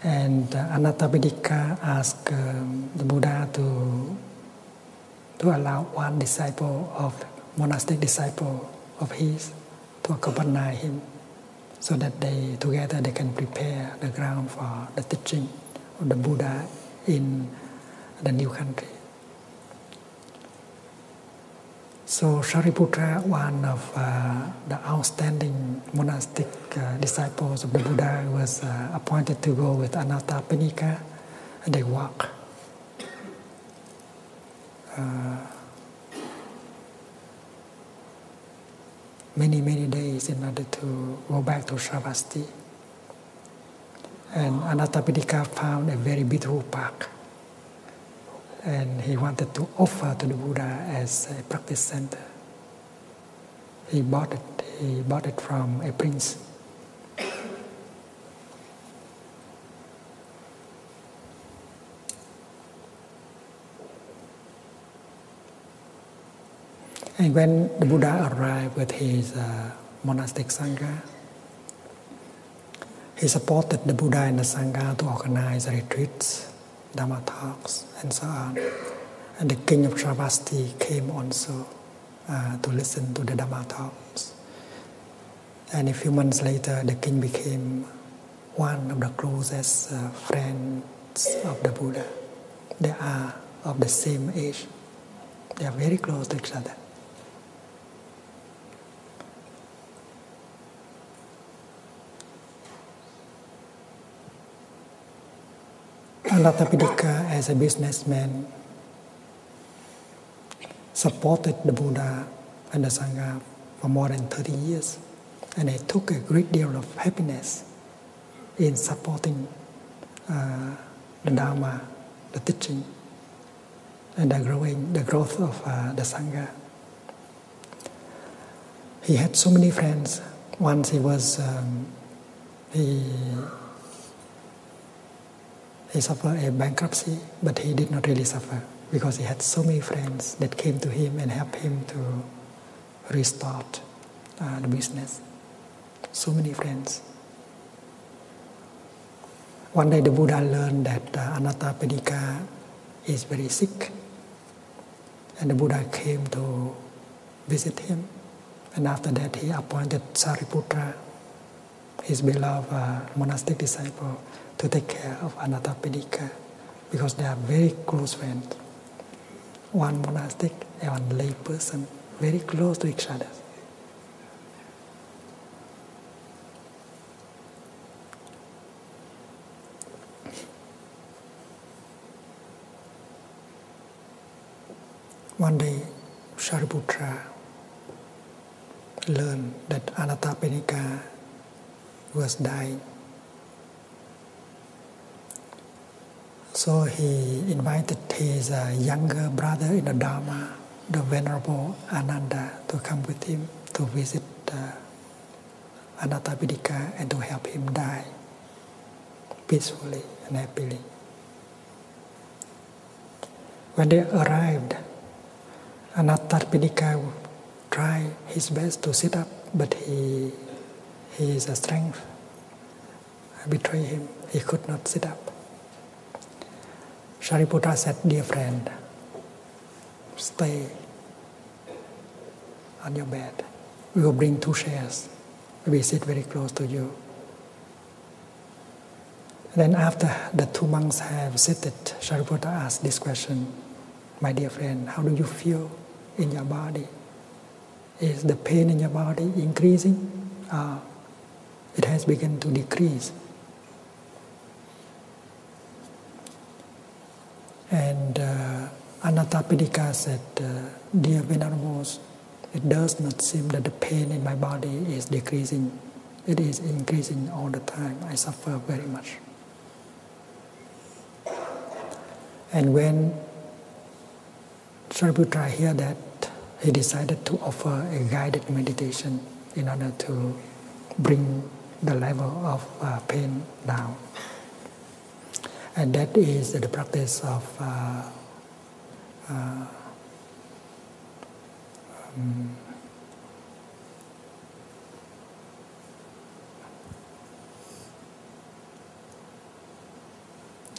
And uh, Anathapindika asked um, the Buddha to, to allow one disciple of monastic disciple of his to accompany him so that they together they can prepare the ground for the teaching of the Buddha in the new country. So Shariputra, one of uh, the outstanding monastic uh, disciples of the Buddha, was uh, appointed to go with Anattapinika, and they walk many, many days in order to go back to Shravasti. And Anattapindika found a very beautiful park. And he wanted to offer to the Buddha as a practice center. He bought it, he bought it from a prince. And when the Buddha arrived with his uh, monastic Sangha, he supported the Buddha and the Sangha to organize retreats, dharma talks, and so on. And the king of Sravasti came also uh, to listen to the dharma talks. And a few months later, the king became one of the closest uh, friends of the Buddha. They are of the same age. They are very close to each other. Anathapindika, as a businessman, supported the Buddha and the Sangha for more than 30 years and I took a great deal of happiness in supporting uh, the Dharma, the teaching, and the growing, the growth of uh, the Sangha. He had so many friends. Once he was, um, he, he suffered a bankruptcy, but he did not really suffer because he had so many friends that came to him and helped him to restart uh, the business. So many friends. One day the Buddha learned that uh, Anathapindika is very sick, and the Buddha came to visit him, and after that he appointed Sariputra, his beloved uh, monastic disciple, to take care of Anathapindika because they are very close friends one monastic and one lay person very close to each other. One day, Shariputra learned that Anattapinika was dying. So he invited his uh, younger brother in the Dharma, the Venerable Ananda, to come with him to visit uh, and to help him die peacefully and happily. When they arrived, Anathapindika try his best to sit up, but he, his strength betrayed him. He could not sit up. Shariputra said, Dear friend, stay on your bed. We will bring two chairs. We sit very close to you. Then, after the two monks have seated, Shariputra asked this question my dear friend, how do you feel in your body? Is the pain in your body increasing? Uh, it has begun to decrease. And uh, Anathapindika said, uh, Dear Venerables, it does not seem that the pain in my body is decreasing. It is increasing all the time. I suffer very much. And when Shariputra heard that, he decided to offer a guided meditation in order to bring the level of uh, pain down. And that is the practice of uh, uh, um,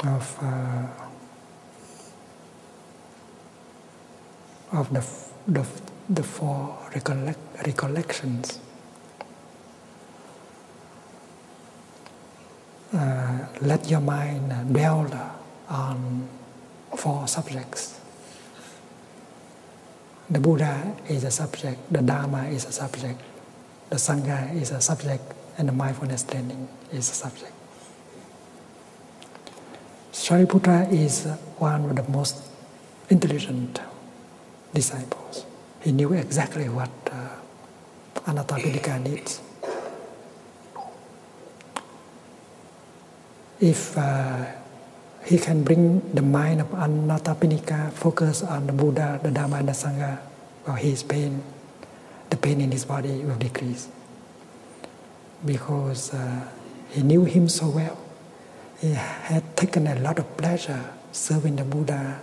of, uh, of the, the, four recollections. Uh, let your mind dwell on four subjects the Buddha is a subject, the Dharma is a subject, the Sangha is a subject, and the mindfulness training is a subject. Shariputra is one of the most intelligent disciples. He knew exactly what uh, needs. If uh, he can bring the mind of Anathapindika focus on the Buddha, the Dharma, and the Sangha, well, his pain, the pain in his body will decrease because uh, he knew him so well. He had taken a lot of pleasure serving the Buddha,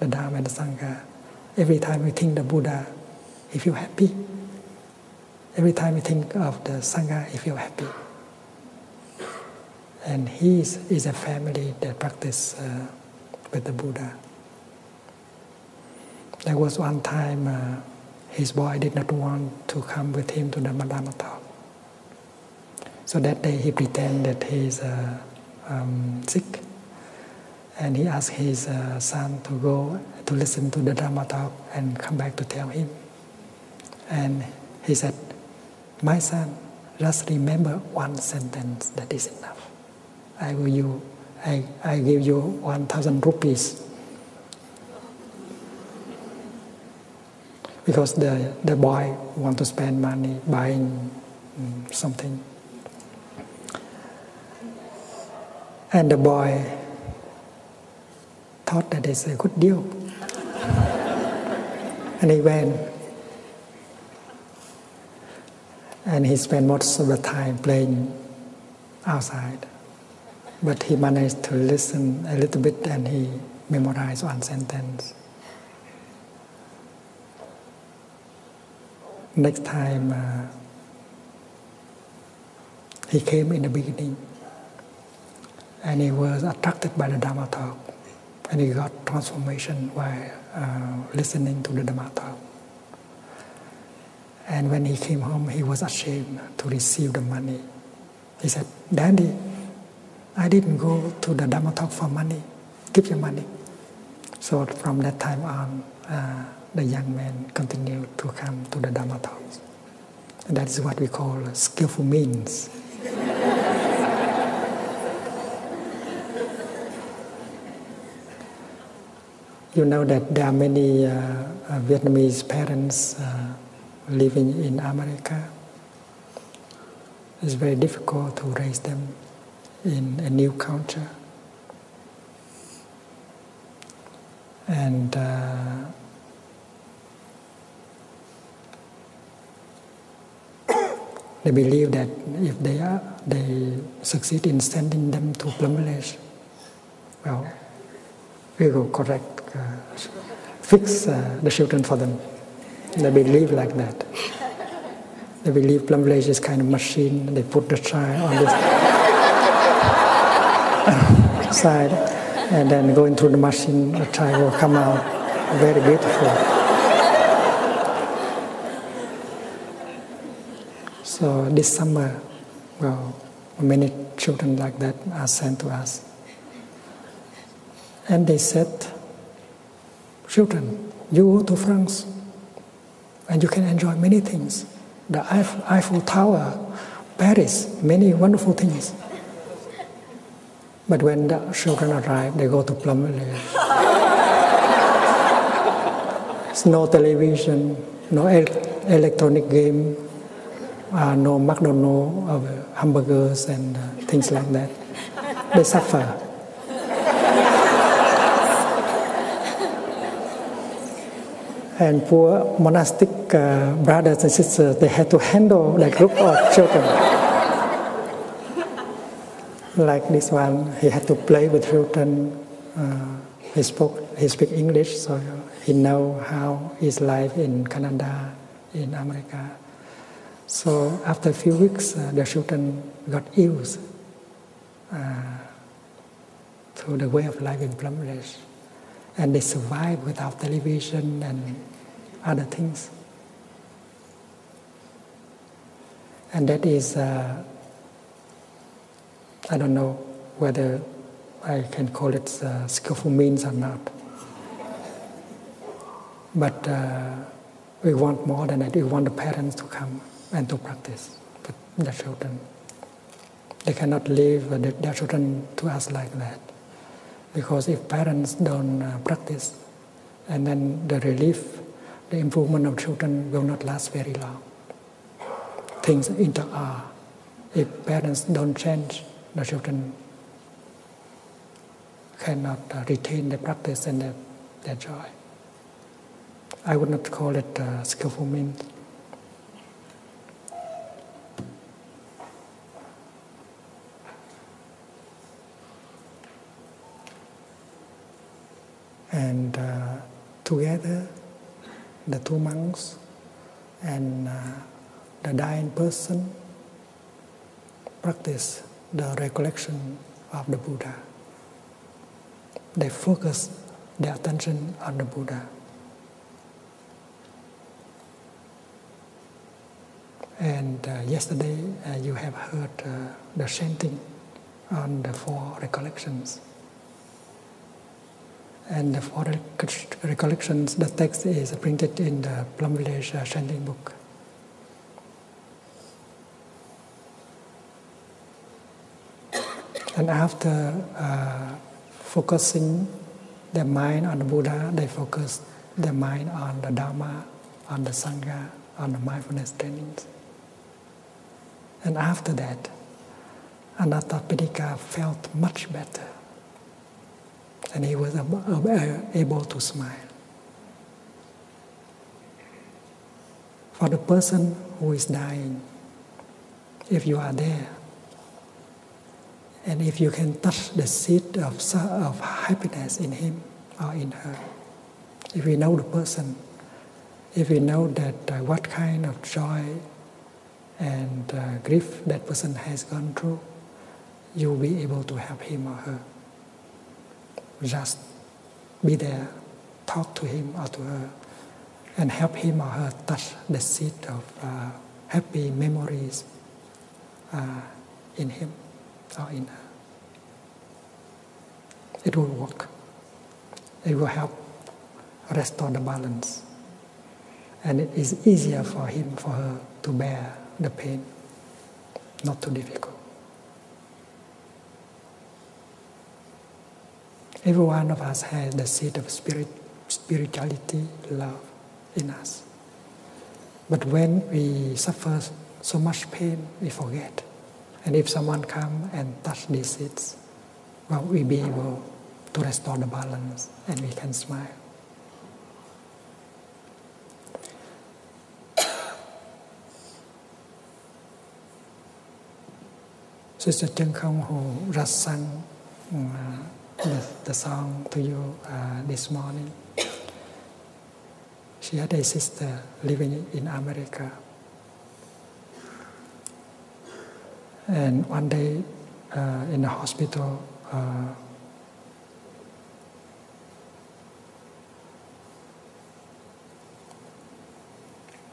the Dharma, and the Sangha. Every time we think the Buddha, he feels happy. Every time we think of the Sangha, he feels happy and he is a family that practice uh, with the Buddha. There was one time uh, his boy did not want to come with him to the Madama talk. So that day he pretended he is uh, um, sick, and he asked his son to go to listen to the Dharma talk and come back to tell him. And he said, my son, just remember one sentence that is enough. I will you, I, I give you 1,000 rupees. Because the, the boy want to spend money buying mm, something. And the boy thought that it's a good deal. and he went and he spent most of the time playing outside. But he managed to listen a little bit and he memorized one sentence. Next time, uh, he came in the beginning and he was attracted by the Dharma talk and he got transformation by uh, listening to the Dhammatha. And when he came home, he was ashamed to receive the money. He said, Daddy, I didn't go to the Dhamma talk for money. Give your money. So from that time on, uh, the young man continued to come to the Dhamma talks. that is what we call skillful means you know that there are many uh, uh, Vietnamese parents uh, living in America. It's very difficult to raise them in a new culture. And they believe that if they are, they succeed in sending them to Plum Village, well, we will correct, uh, fix uh, the children for them. They believe like that. They believe Plum Village is kind of machine. They put the child on this side, and then going through the machine, the child will come out very beautiful. So this summer, well, many children like that are sent to us. And they said, Children, you go to France and you can enjoy many things. The Eiffel Tower, Paris, many wonderful things. But when the children arrive, they go to plum village. it's no television, no electronic game, uh, no McDonald's uh, hamburgers and uh, things like that. They suffer. and poor monastic brothers and sisters, they had to handle that group of children like this one, he had to play with Hilton. Uh, he spoke, he speak English, so he know how his life in Canada, in America. So after a few weeks, uh, the children got used uh, to the way of life in Bangladesh, and they survive without television and other things. And that is, uh, I don't know whether I can call it uh, skillful means or not. But uh, we want more than that. We want the parents to come and to practice with the children. They cannot leave their children to us like that. Because if parents don't practice, and then the relief, the improvement of children will not last very long. Things inter are. Uh, if parents don't change, the children cannot uh, retain the practice and the, their joy. I would not call it uh, skillful means. And uh, together, the two monks and uh, the dying person practice the recollection of the Buddha. They focus their attention on the Buddha. And uh, yesterday uh, you have heard uh, the chanting on the four recollections. And the four recollections, the text is printed in the Plum Village chanting book. and after focusing their mind on the Buddha, they focus their mind on the Dharma, on the Sangha, on the mindfulness trainings. And after that, Anathapindika felt much better. And he was uh, able to smile. For the person who is dying, if you are there, and if you can touch the seed of, of happiness in him or in her, if we know the person, if we know that uh, what kind of joy and uh, grief that person has gone through, you'll be able to help him or her. Just be there, talk to him or to her, and help him or her touch the seed of uh, happy memories in him or in her. It will work. It will help restore the balance. And it is easier for him, for her to bear the pain, not too difficult. Every one of us has the seed of spirit, spirituality, love in us. But when we suffer so much pain, we forget and if someone come and touch these seeds, well, we be able to restore the balance and we can smile. Sister Chung Kong, who just sang uh, the, song to you uh, this morning, she had a sister living in America. And one day uh, in the hospital, uh,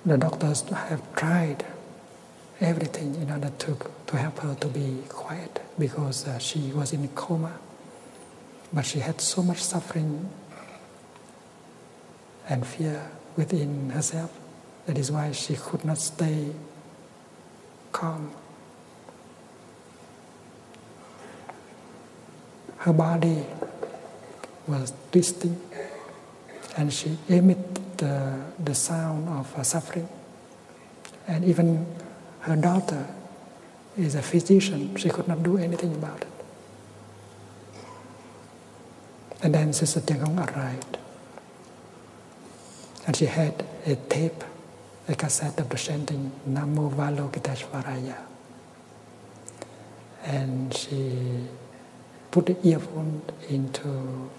the doctors have tried everything in order to, to help her to be quiet because uh, she was in coma. But she had so much suffering and fear within herself. That is why she could not stay calm. Her body was twisting and she emitted the, the sound of suffering. And even her daughter is a physician. She could not do anything about it. And then Sister Tiangong arrived. And she had a tape, a cassette of the chanting Namo Valokiteshvaraya. And she put the earphone into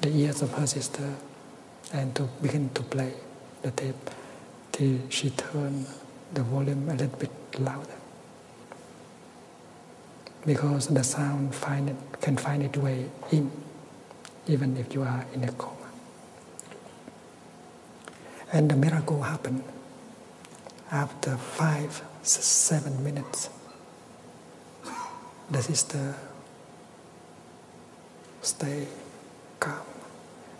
the ears of her sister and to begin to play the tape till she turned the volume a little bit louder because the sound find it, can find its way in even if you are in a coma. And the miracle happened after five, seven minutes. The sister stayed calm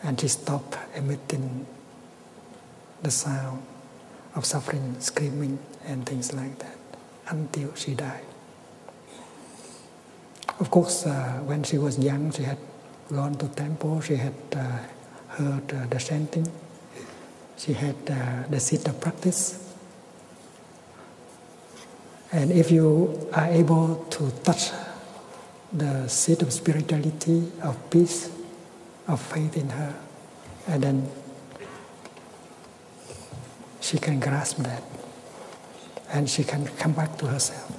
and she stopped emitting the sound of suffering, screaming, and things like that until she died. Of course, uh, when she was young, she had gone to temple, she had uh, heard uh, the chanting, she had the seat of practice. And if you are able to touch the seat of spirituality, of peace, of faith in her. And then she can grasp that and she can come back to herself.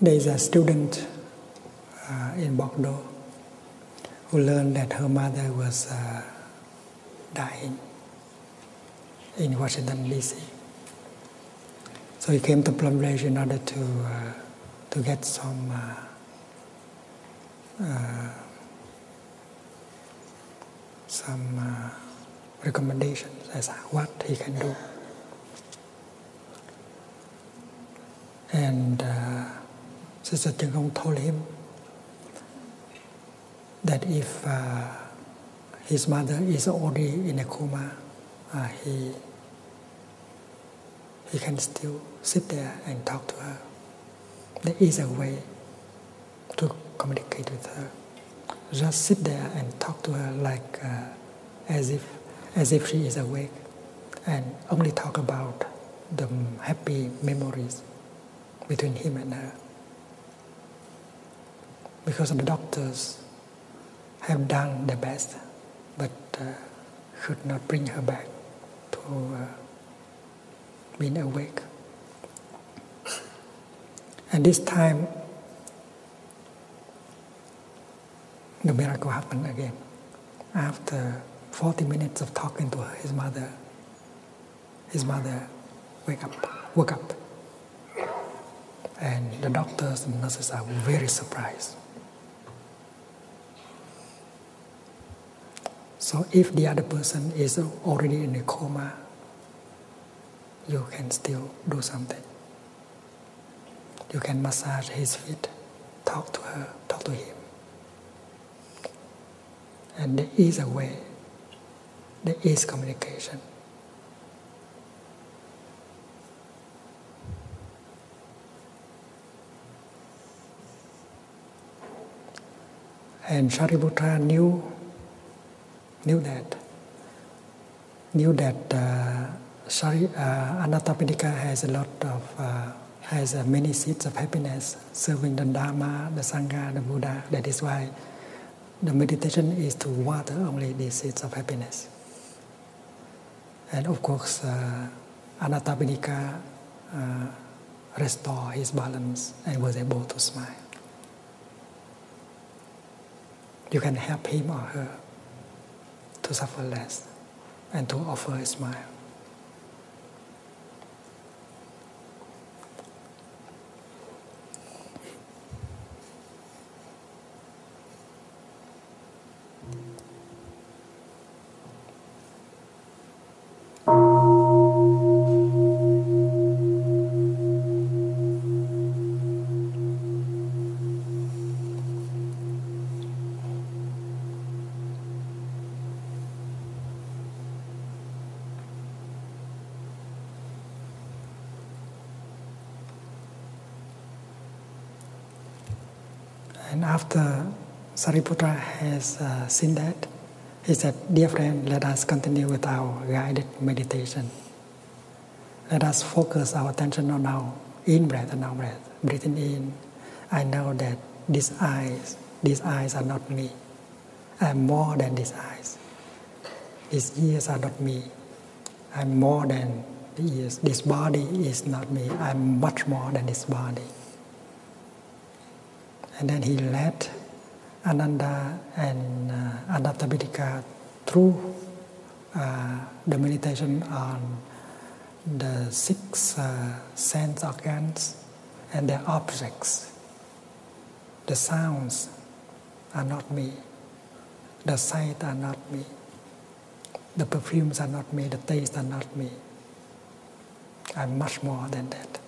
There is a student uh, in Bordeaux who learned that her mother was uh, dying in Washington, D.C. So she came to Plum Ridge in order to, uh, to get some some uh, recommendations as what he can do. And uh, Sister Jingong told him that if uh, his mother is already in a coma, uh, he, he can still sit there and talk to her. There is a way to communicate with her. Just sit there and talk to her like uh, as if as if she is awake, and only talk about the happy memories between him and her. Because the doctors have done their best, but uh, could not bring her back to uh, being awake. And this time, the miracle happened again. After 40 minutes of talking to his mother, his mother wake up, woke up. And the doctors and nurses are very surprised. So if the other person is already in a coma, you can still do something. You can massage his feet, talk to her, talk to him. And there is a way, there is communication. And Shariputra knew knew that, knew that uh, Sorry, Shari, uh, has a lot of, uh, has many seeds of happiness, serving the Dharma, the Sangha, the Buddha. That is why the meditation is to water only these seeds of happiness. And of course, uh, Anathapindika restored his balance and was able to smile you can help him or her to suffer less and to offer a smile. And after Sariputra has uh, seen that, he said, Dear friend, let us continue with our guided meditation. Let us focus our attention on now, in breath and out breath, breathing in. I know that these eyes, these eyes are not me. I am more than these eyes. These ears are not me. I am more than the ears. This body is not me. I am much more than this body. And then he let Ananda and uh, adaptability through uh, the meditation on the six uh, sense organs and their objects. The sounds are not me. The sight are not me. The perfumes are not me. The taste are not me. I'm much more than that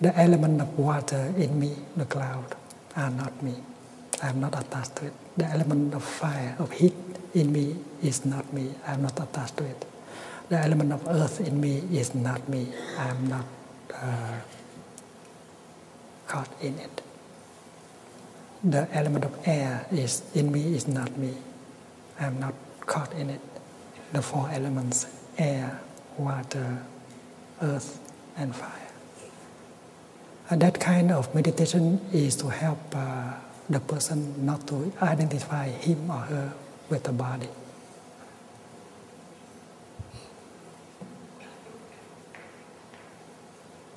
the element of water in me, the cloud, are not me. I am not attached to it. The element of fire, of heat in me is not me. I am not attached to it. The element of earth in me is not me. I am not uh, caught in it. The element of air is in me is not me. I am not caught in it. The four elements air, water, earth, and fire. And that kind of meditation is to help uh, the person not to identify him or her with the body.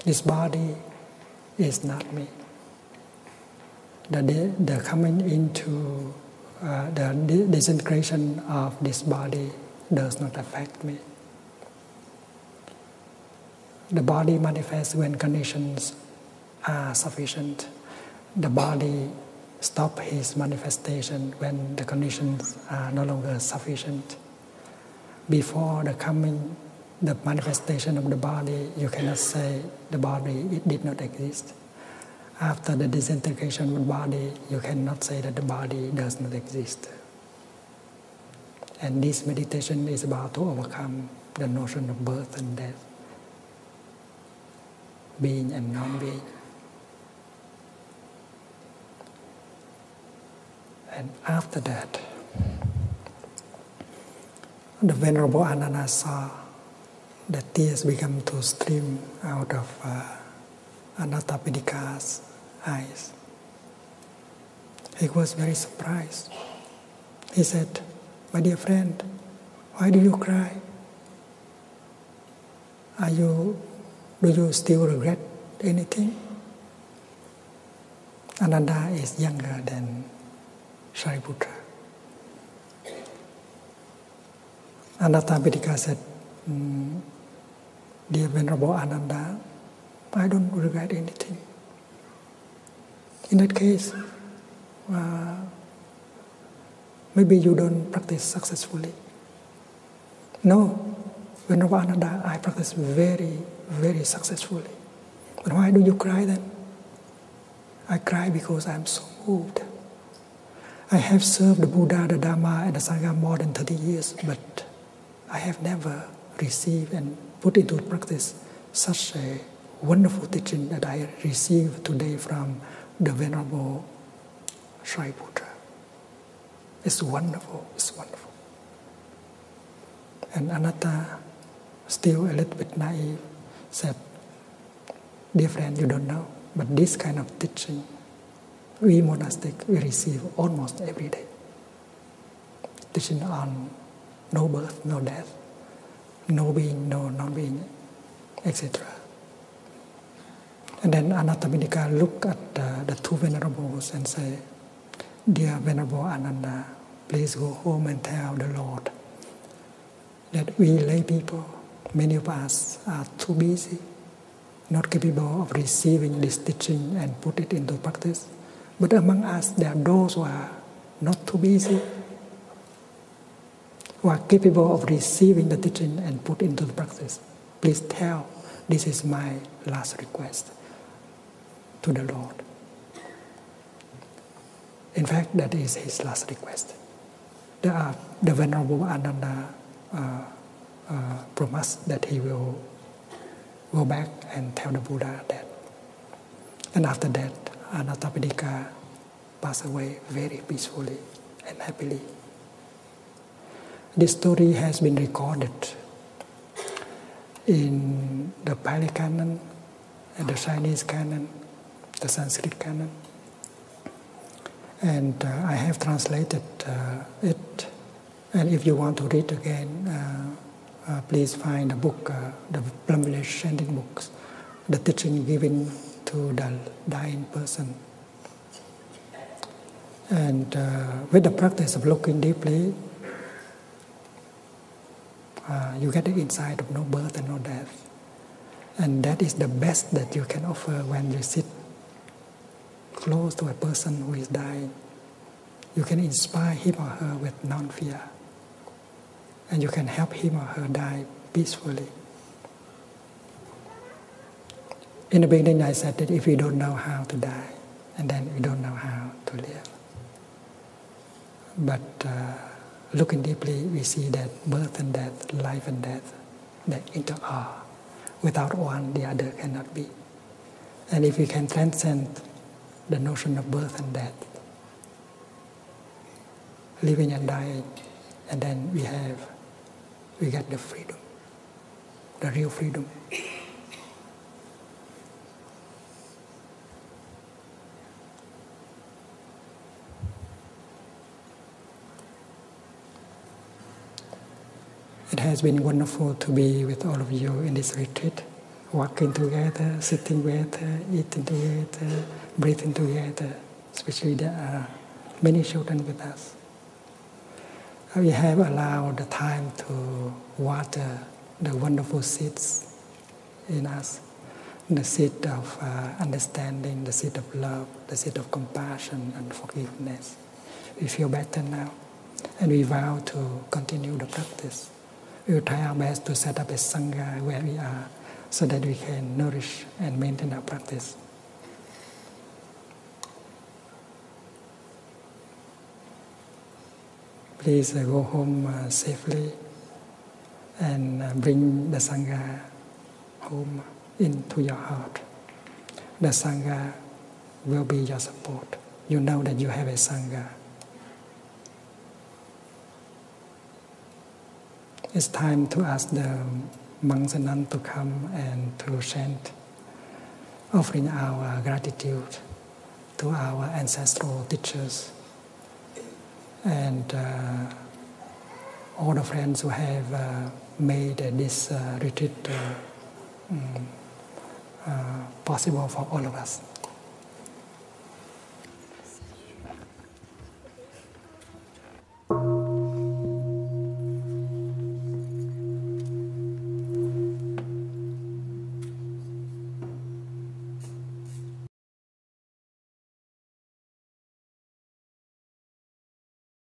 This body is not me. The, the coming into uh, the disintegration of this body does not affect me. The body manifests when conditions are sufficient. The body stops his manifestation when the conditions are no longer sufficient. Before the coming, the manifestation of the body, you cannot say the body did not exist. After the disintegration of the body, you cannot say that the body does not exist. And this meditation is about to overcome the notion of birth and death, being and non being. And after that, the Venerable Ananda saw the tears become to stream out of uh, Ananda Anathapindika's eyes. He was very surprised. He said, My dear friend, why do you cry? Are you, do you still regret anything? Ananda is younger than Shariputra. Anattapindika said, Dear Venerable Ananda, I don't regret anything. In that case, uh, maybe you don't practice successfully. No, Venerable Ananda, I practice very, very successfully. But why do you cry then? I cry because I'm so moved I have served the Buddha, the Dharma, and the Sangha more than 30 years, but I have never received and put into practice such a wonderful teaching that I received today from the Venerable Shariputra. It's wonderful, it's wonderful. And Anatta, still a little bit naive, said, Dear friend, you don't know, but this kind of teaching we monastic we receive almost every day teaching on no birth, no death, no being, no non-being, etc. And then Anathapindika look at uh, the two venerables and say, Dear Venerable Ananda, please go home and tell the Lord that we lay people, many of us are too busy not capable of receiving this teaching and put it into practice. But among us, there are those who are not too busy, who are capable of receiving the teaching and put into practice. Please tell, this is my last request to the Lord. In fact, that is his last request the, uh, the Venerable Ananda uh, uh, promised that he will go back and tell the Buddha that. And after that, Anathapindika passed away very peacefully and happily. This story has been recorded in the Pali Canon, the Chinese Canon, the Sanskrit Canon, and uh, I have translated uh, it. And if you want to read again, uh, please find the book, the Plum Village Chanting Books, the teaching given to the dying person. And with the practice of looking deeply, you get the insight of no birth and no death. And that is the best that you can offer when you sit close to a person who is dying, you can inspire him or her with non fear. And you can help him or her die peacefully. In the beginning, I said that if we don't know how to die, and then we don't know how to live. But uh, looking deeply, we see that birth and death, life and death, that into are. Uh, without one, the other cannot be. And if we can transcend the notion of birth and death, living and dying, and then we have, we get the freedom, the real freedom. It has been wonderful to be with all of you in this retreat, working together, sitting together, eating together, breathing together, especially there are many children with us. We have allowed the time to water the wonderful seeds in us the seed of uh, understanding, the seed of love, the seed of compassion and forgiveness. We feel better now, and we vow to continue the practice. We will try our best to set up a sangha where we are, so that we can nourish and maintain our practice. Please uh, go home uh, safely and uh, bring the sangha home into your heart. The Sangha will be your support. You know that you have a Sangha. It's time to ask the monks and nuns to come and to chant, offering our gratitude to our ancestral teachers and uh, all the friends who have. Uh, made this uh, retreat uh, mm, uh, possible for all of us.